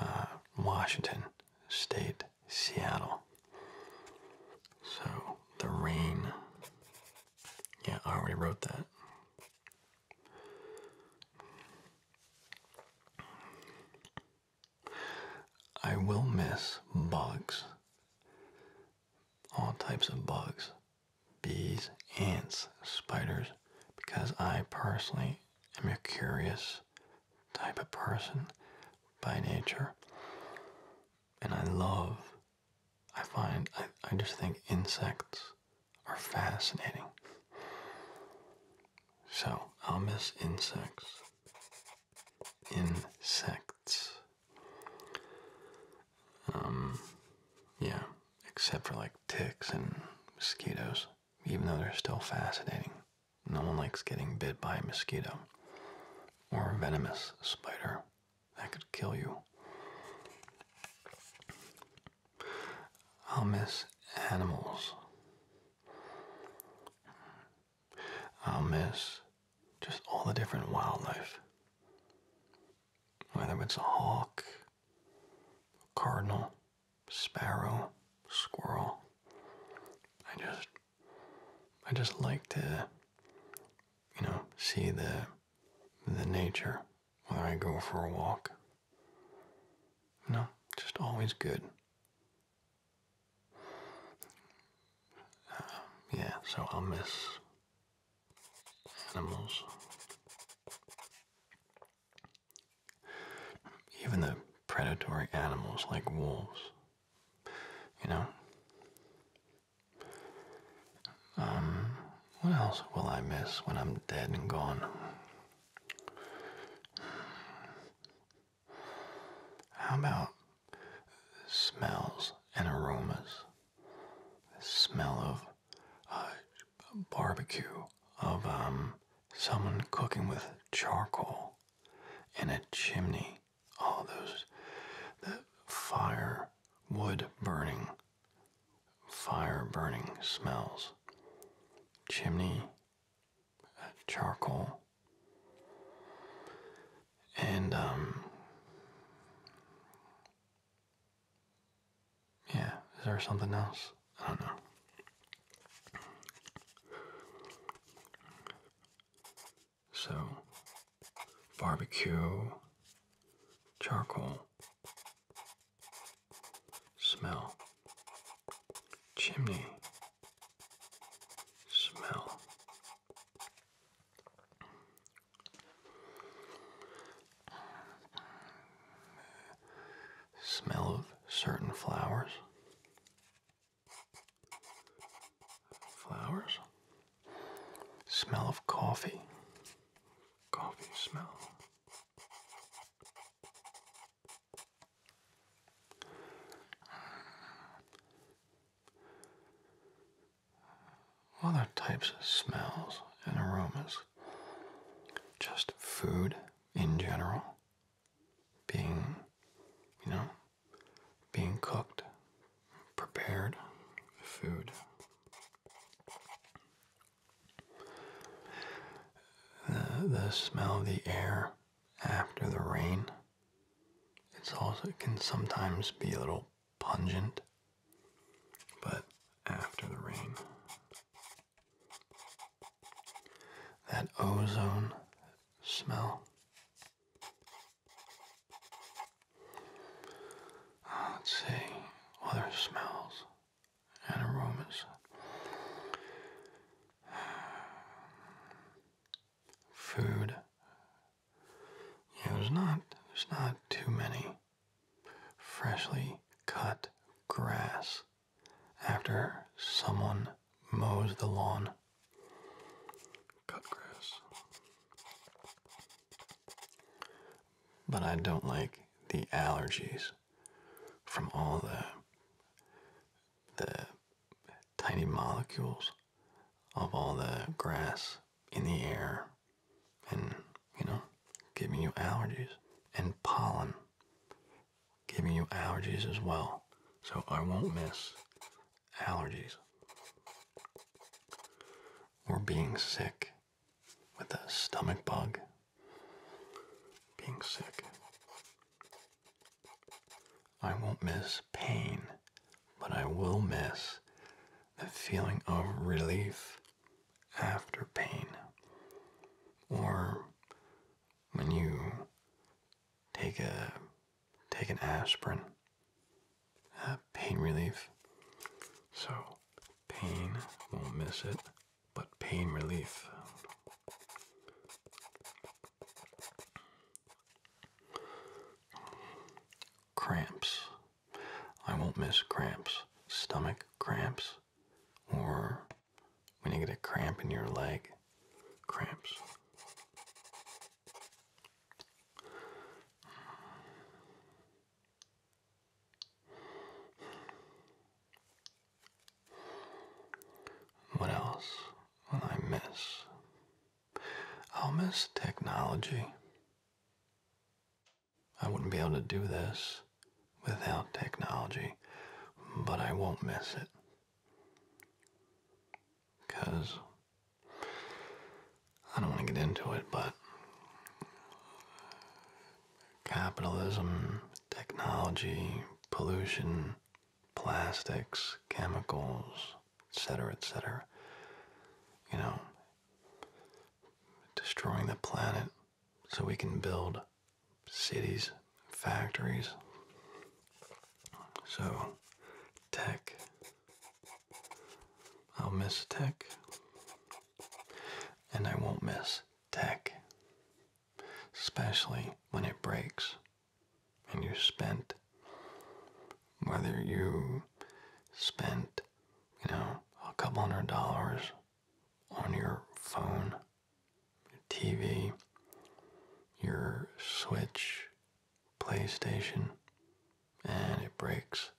A: uh, Washington State, Seattle. So the rain. Yeah, I already wrote that. I will miss bugs, all types of bugs, bees, ants, spiders, because I personally am a curious type of person by nature. And I love, I find, I, just think insects are fascinating. So I'll miss insects. Insects. Um, yeah, except for like ticks and mosquitoes, even though they're still fascinating. No one likes getting bit by a mosquito or a venomous spider that could kill you. I'll miss animals. I'll miss just all the different wildlife. Whether it's a hawk, cardinal, sparrow, squirrel. I just I just like to you know see the the nature when I go for a walk no, just always good. Um, yeah, so I'll miss animals. Even the predatory animals like wolves. You know? Um, what else will I miss when I'm dead and gone? How about smells and aromas? The smell of uh, barbecue, of um, someone cooking with charcoal in a chimney. All those, the fire, wood burning, fire burning smells, chimney, uh, charcoal, and um, yeah, is there something else? I don't know. So, barbecue, charcoal, Smell. Chimney. Smell. Smell of certain flowers. Flowers. Smell of coffee. Coffee smell. Other types of smells and aromas, just food in general, being, you know, being cooked, prepared food. The, smell of the air after the rain. It's also can sometimes be a little pungent, but after the rain, that ozone smell. Let's see, other smells and aromas. Food. Yeah, there's not there's not too many freshly cut grass after someone mows the lawn. Cut grass. But I don't like the allergies from all the the tiny molecules of all the grass in the air and you know giving you allergies and pollen giving you allergies as well so i won't miss allergies or being sick with a stomach bug being sick. I won't miss pain, but I will miss the feeling of relief after pain. Or when you take a take an aspirin, uh, pain relief. So pain won't miss it but pain relief. Cramps. I won't miss cramps. Stomach cramps, or when you get a cramp in your leg, cramps. What else will I miss? I'll miss technology. I wouldn't be able to do this without technology, but I won't miss it. Because I don't want to get into it, but capitalism, technology, pollution, plastics, chemicals, etc., etc. You know, destroying the planet so we can build cities, factories. So, tech. I'll miss tech. And I won't miss tech especially when it breaks and you spent. Whether you spent, you know, a couple hundred dollars on your phone, your TV, your Switch, PlayStation, and it breaks,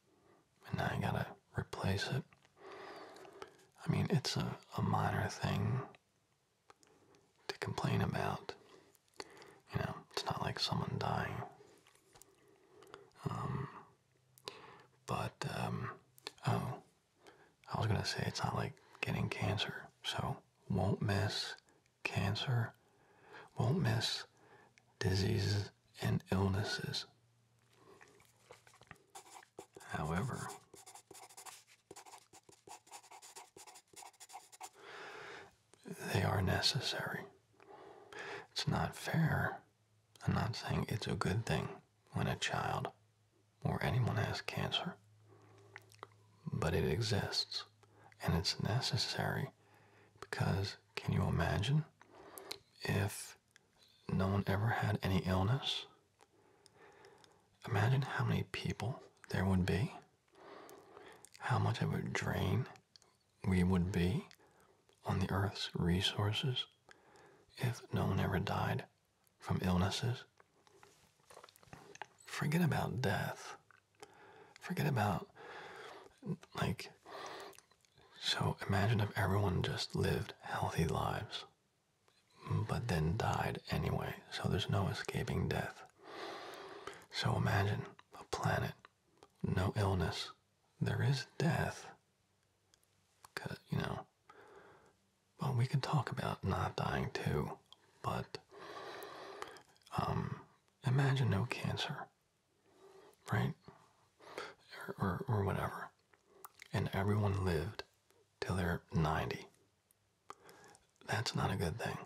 A: and now you gotta replace it. I mean, it's a minor thing to complain about. You know, it's not like someone dying. Um, but, um, oh, I was gonna say it's not like getting cancer, so won't miss cancer, won't miss diseases and illnesses. However, they are necessary. It's not fair. I'm not saying it's a good thing when a child or anyone has cancer, but it exists and it's necessary because can you imagine if no one ever had any illness Imagine how many people there would be, how much of a drain we would be on the Earth's resources if no one ever died from illnesses. Forget about death. Forget about, like, so imagine if everyone just lived healthy lives but then died anyway, so there's no escaping death. So imagine a planet, no illness. There is death. Cause, you know, but we could talk about not dying too, but um, imagine no cancer, right? or, or whatever. And everyone lived till they're 90 that's not a good thing.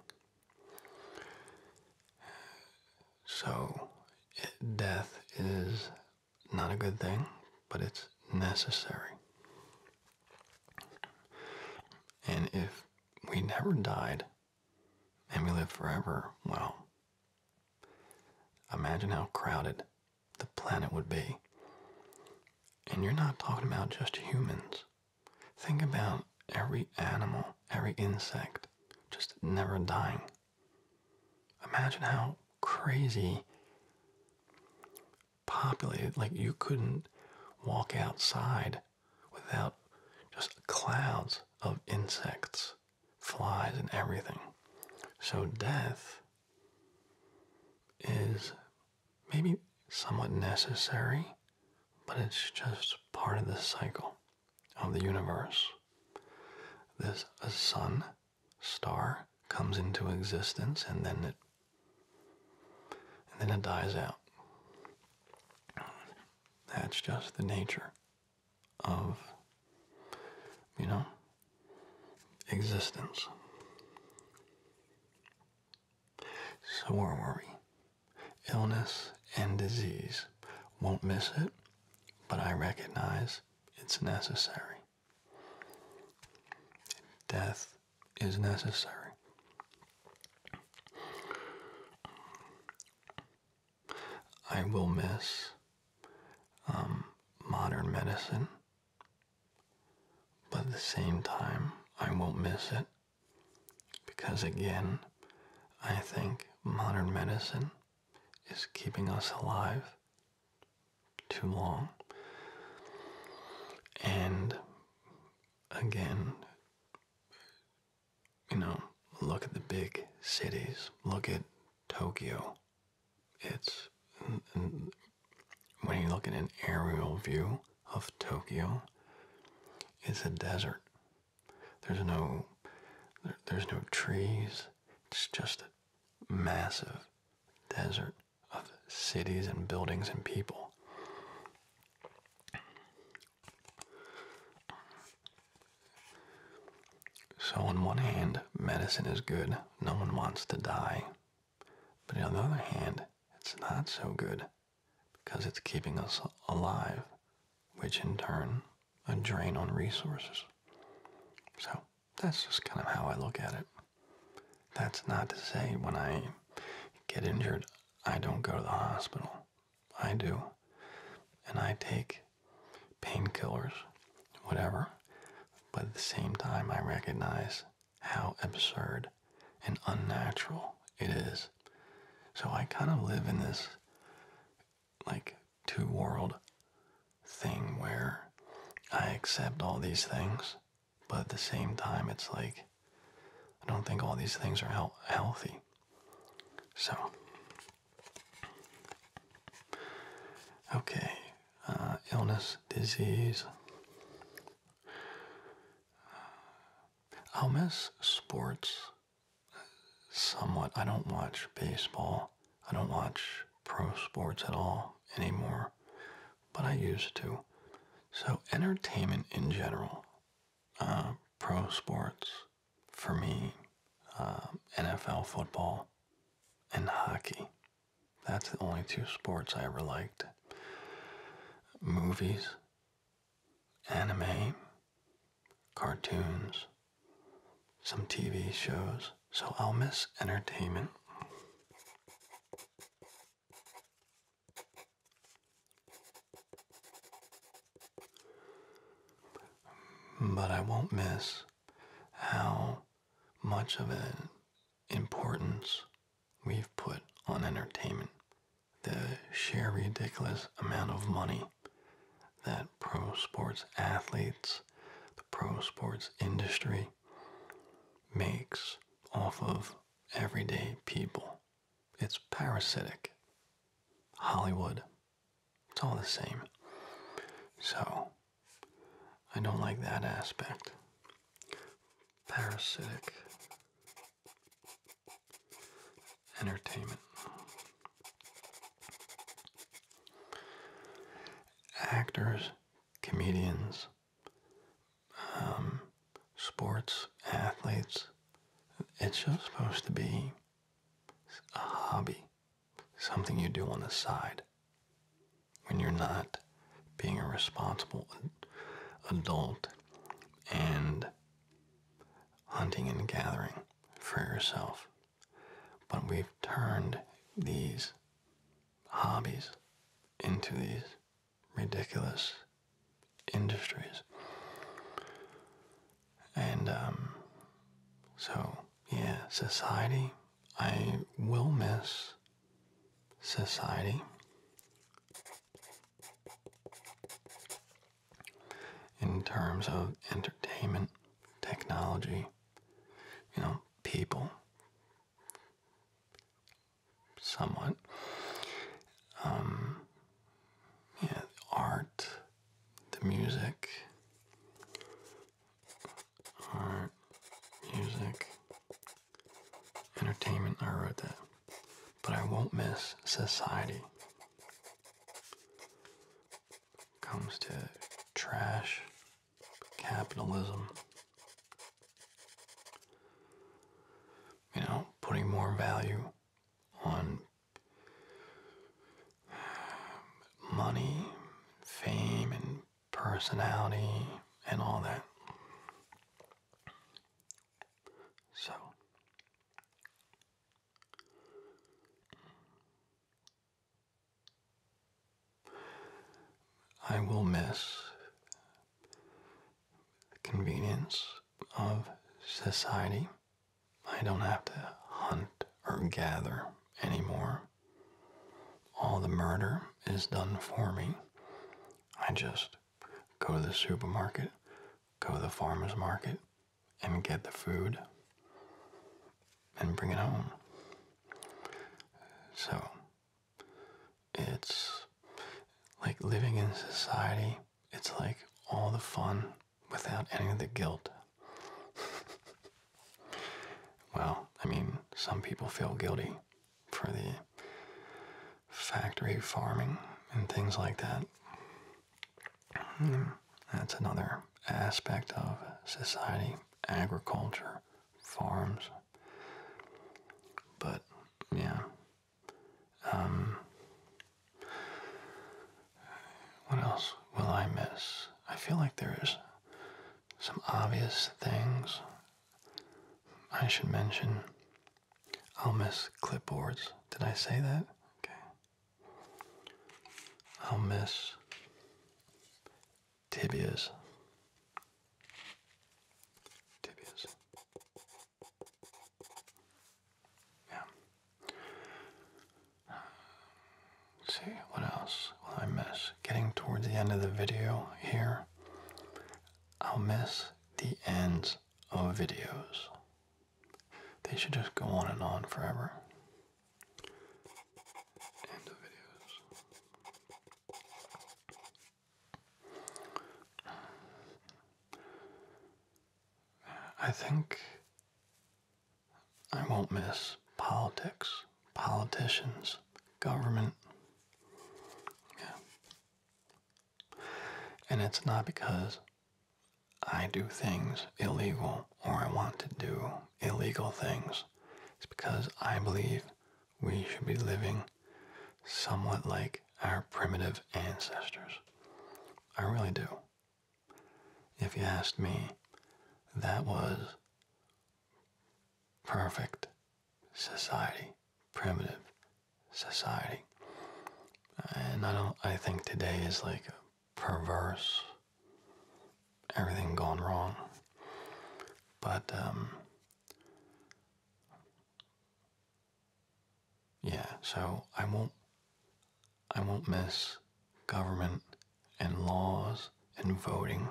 A: So, death is not a good thing, but it's necessary. And if we never died and we lived forever, well, imagine how crowded the planet would be. And you're not talking about just humans. Think about every animal, every insect, just never dying. Imagine how crazy populated, like you couldn't walk outside without just clouds of insects, flies, and everything. So death is maybe somewhat necessary, but it's just part of the cycle of the universe. This a sun star comes into existence and then it and then it dies out. That's just the nature of you know existence. So where were we? Illness and disease. Won't miss it, but I recognize it's necessary. Death is necessary. I will miss um, modern medicine but at the same time, I won't miss it. Because again, I think modern medicine is keeping us alive too long. And again, you know, look at the big cities. Look at Tokyo. It's when you look at an aerial view of Tokyo, it's a desert. There's no, there's no trees. It's just a massive desert of cities and buildings and people. So on one hand, medicine is good. No one wants to die. But on the other hand, it's not so good because it's keeping us alive, which in turn a drain on resources. So that's just kind of how I look at it. That's not to say when I get injured, I don't go to the hospital. I do. And I take painkillers, whatever. But at the same time, I recognize how absurd and unnatural it is. So I kind of live in this like two world thing where I accept all these things, but at the same time, it's like I don't think all these things are healthy. So, okay, uh, illness, disease. I'll miss sports somewhat. I don't watch baseball. I don't watch pro sports at all anymore, but I used to. So entertainment in general, uh, pro sports for me, uh, NFL football and hockey. That's the only two sports I ever liked. Movies, anime, cartoons, some TV shows. So I'll miss entertainment. But I won't miss how much of it importance we've put on entertainment, the sheer ridiculous amount of money that pro sports athletes, the pro sports industry makes off of everyday people. It's parasitic. Hollywood. It's all the same. So, I don't like that aspect parasitic entertainment. Actors, comedians, um, sports, athletes. It's just supposed to be a hobby, something you do on the side when you're not being a responsible adult and hunting and gathering for yourself. But we've turned these hobbies into these ridiculous industries. And um, so, yeah, society, I will miss society. In terms of entertainment, technology, you know, people, somewhat, um, yeah, art, the music, art, music, Entertainment, I wrote that. But I won't miss society. Comes to trash, capitalism. You know, putting more value on money, fame, and personality, and all that. So, I will miss the convenience of society. I don't have to hunt or gather anymore. All the murder is done for me. I just go to the supermarket, go to the farmer's market, and get the food and bring it home. So, it's like living in society, it's like all the fun without any of the guilt. [LAUGHS] well, I mean, some people feel guilty for the factory farming and things like that. Hmm, that's another aspect of society, agriculture, farms. But yeah, um, what else will I miss? I feel like there is some obvious things I should mention I'll miss clipboards. Did I say that? Okay. I'll miss tibias. Tibias. Yeah. see, what else will I miss? Getting toward the end of the video here, I'll miss the ends of videos. They should just go on and on forever. End of videos. I think I won't miss politics, politicians, government. Yeah. And it's not because I do things illegal or I want to do illegal things. It's because I believe we should be living somewhat like our primitive ancestors. I really do. If you asked me, that was perfect society, primitive society. And I don't I think today is like perverse everything gone wrong. But um yeah, so I won't I won't miss government and laws and voting.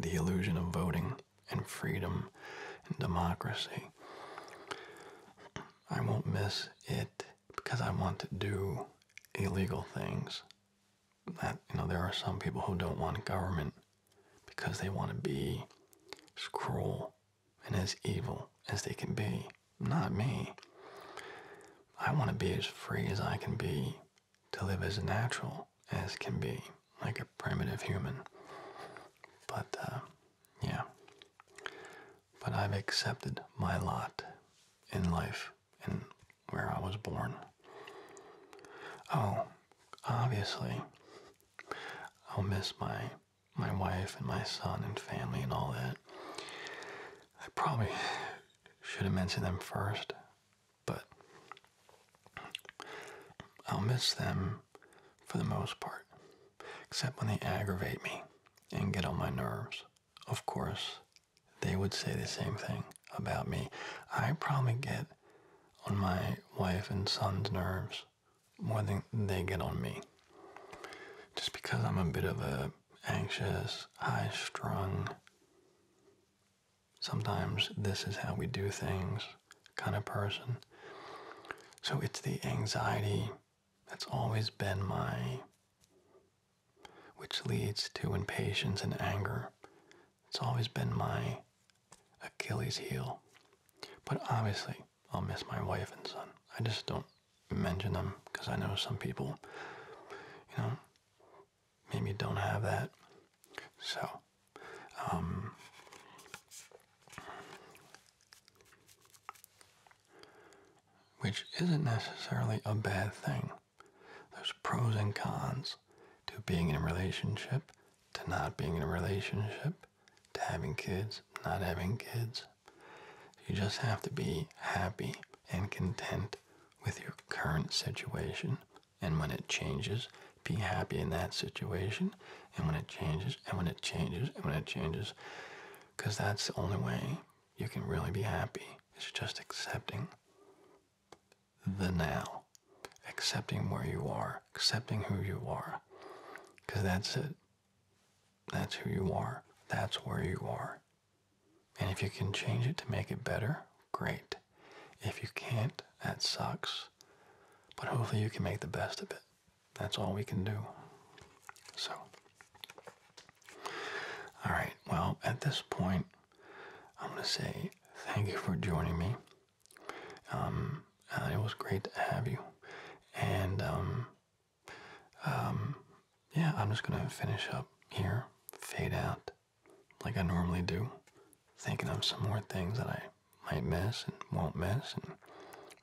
A: The illusion of voting and freedom and democracy. I won't miss it because I want to do illegal things. That you know, there are some people who don't want government because they want to be as cruel and as evil as they can be. Not me. I want to be as free as I can be to live as natural as can be, like a primitive human. But, uh, yeah. But I've accepted my lot in life and where I was born. Oh, obviously, I'll miss my my wife and my son and family and all that. I probably should have mentioned them first, but I'll miss them for the most part, except when they aggravate me and get on my nerves. Of course, they would say the same thing about me. I probably get on my wife and son's nerves more than they get on me. Just because I'm a bit of a anxious, high strung. Sometimes this is how we do things kind of person. So it's the anxiety that's always been my, which leads to impatience and anger. It's always been my Achilles heel. But obviously, I'll miss my wife and son. I just don't mention them because I know some people, you know, maybe don't have that. So um, which isn't necessarily a bad thing. There's pros and cons to being in a relationship, to not being in a relationship, to having kids, not having kids. You just have to be happy and content with your current situation. And when it changes, be happy in that situation. And when it changes, and when it changes, and when it changes, because that's the only way you can really be happy is just accepting the now, accepting where you are, accepting who you are, because that's it. That's who you are. That's where you are. And if you can change it to make it better, great. If you can't, that sucks. But hopefully, you can make the best of it. That's all we can do. So, all right, well, at this point, I'm going to say thank you for joining me. Um, uh, it was great to have you. And, um, um, yeah, I'm just going to finish up here, fade out like I normally do thinking of some more things that I might miss and won't miss. And,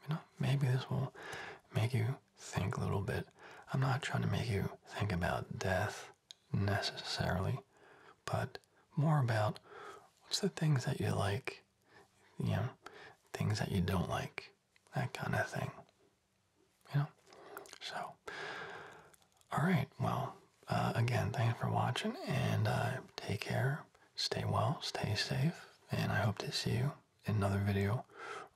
A: you know, maybe this will make you think a little bit. I'm not trying to make you think about death necessarily, but more about what's the things that you like, you know, things that you don't like, that kind of thing. You know? So, all right. Well, uh, again, thanks for watching and uh, take care stay well, stay safe, and I hope to see you in another video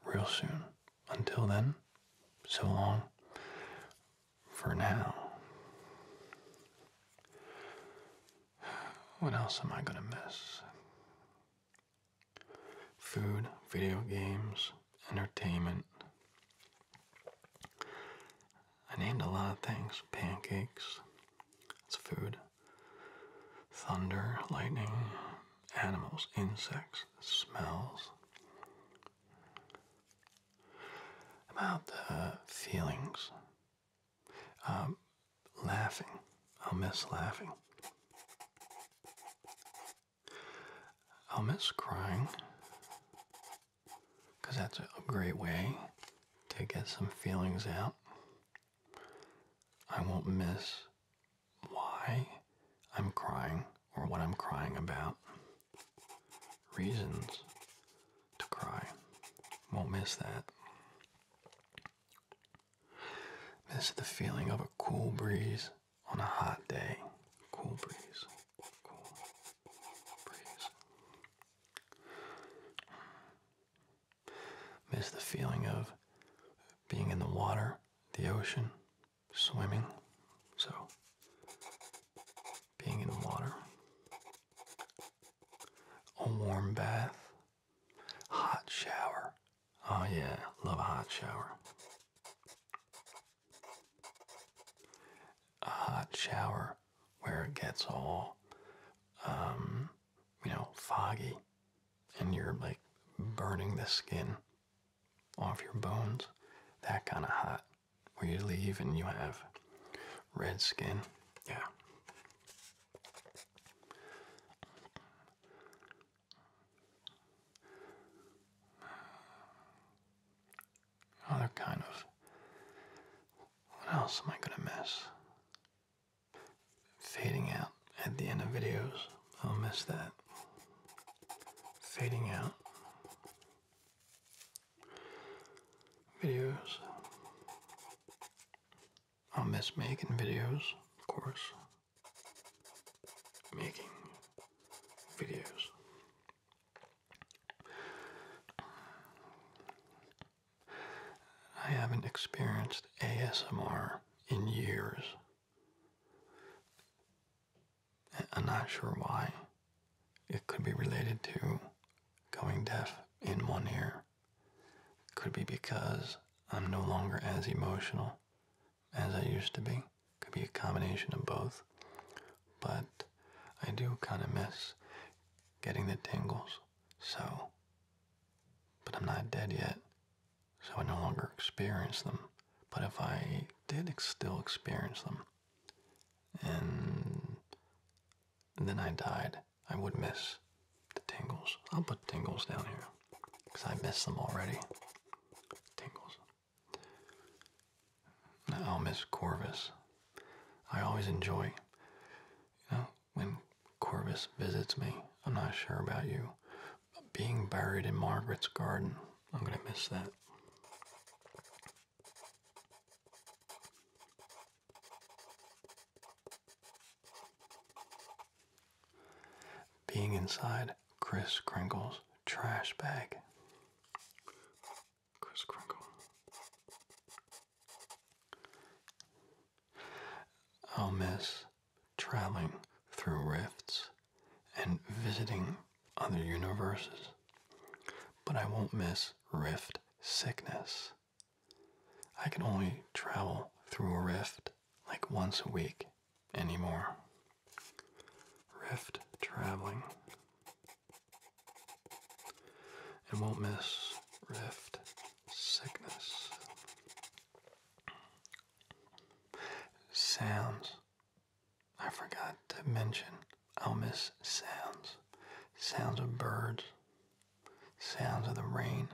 A: real soon. Until then, so long for now. [SIGHS] What else am I gonna miss? Food, video games, entertainment. I named a lot of things pancakes, it's food, thunder, lightning, animals, insects, smells. About uh, feelings. Um, laughing. I'll miss laughing. I'll miss crying because that's a great way to get some feelings out. I won't miss why I'm crying or what I'm crying about. Reasons to cry. Won't miss that. Miss the feeling of a cool breeze on a hot day. Cool breeze. Cool breeze. Miss the feeling of being in the water, the ocean, swimming. So, being in the water, a warm bath, hot shower. Oh, yeah, love a hot shower. A hot shower where it gets all um, you know, foggy and you're like burning the skin off your bones, that kind of hot, where you leave and you have red skin. Yeah. Other kind of. What else am I gonna miss? Fading out at the end of videos. I'll miss that. Fading out. Videos. I'll miss making videos, of course. Making videos. I haven't experienced ASMR in years. I'm not sure why. It could be related to going deaf in one ear. Could be because I'm no longer as emotional as I used to be. Could be a combination of both. But I do kind of miss getting the tingles. So but I'm not dead yet, so I no longer experience them. But if I did still experience them, and then I died, I would miss the tingles. I'll put tingles down here because I miss them already. Tingles. I'll miss Corvus. I always enjoy, you know, when Corvus visits me. I'm not sure about you. But being buried in Margaret's garden, I'm going to miss that. Being inside Chris Kringle's trash bag. Chris Kringle. I'll miss traveling through rifts and visiting other universes, but I won't miss rift sickness. I can only travel through a rift like once a week anymore. Rift traveling. And won't miss rift sickness. Sounds. I forgot to mention, I'll miss sounds. Sounds of birds, sounds of the rain,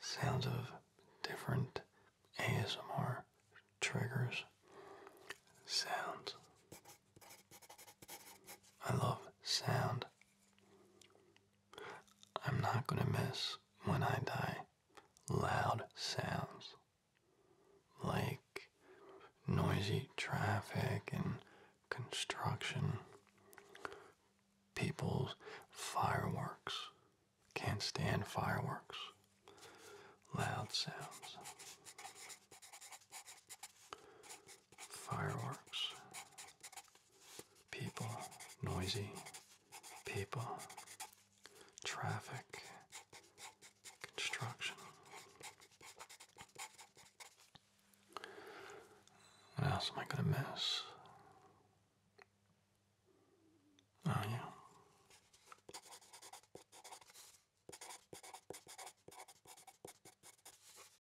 A: sounds of different ASMR triggers, sounds. I love sound I'm not going to miss when I die loud sounds like noisy traffic and construction, people's fireworks. Can't stand fireworks. Loud sounds. Fireworks. People, noisy people, traffic, construction. What else am I going to miss? Oh, yeah.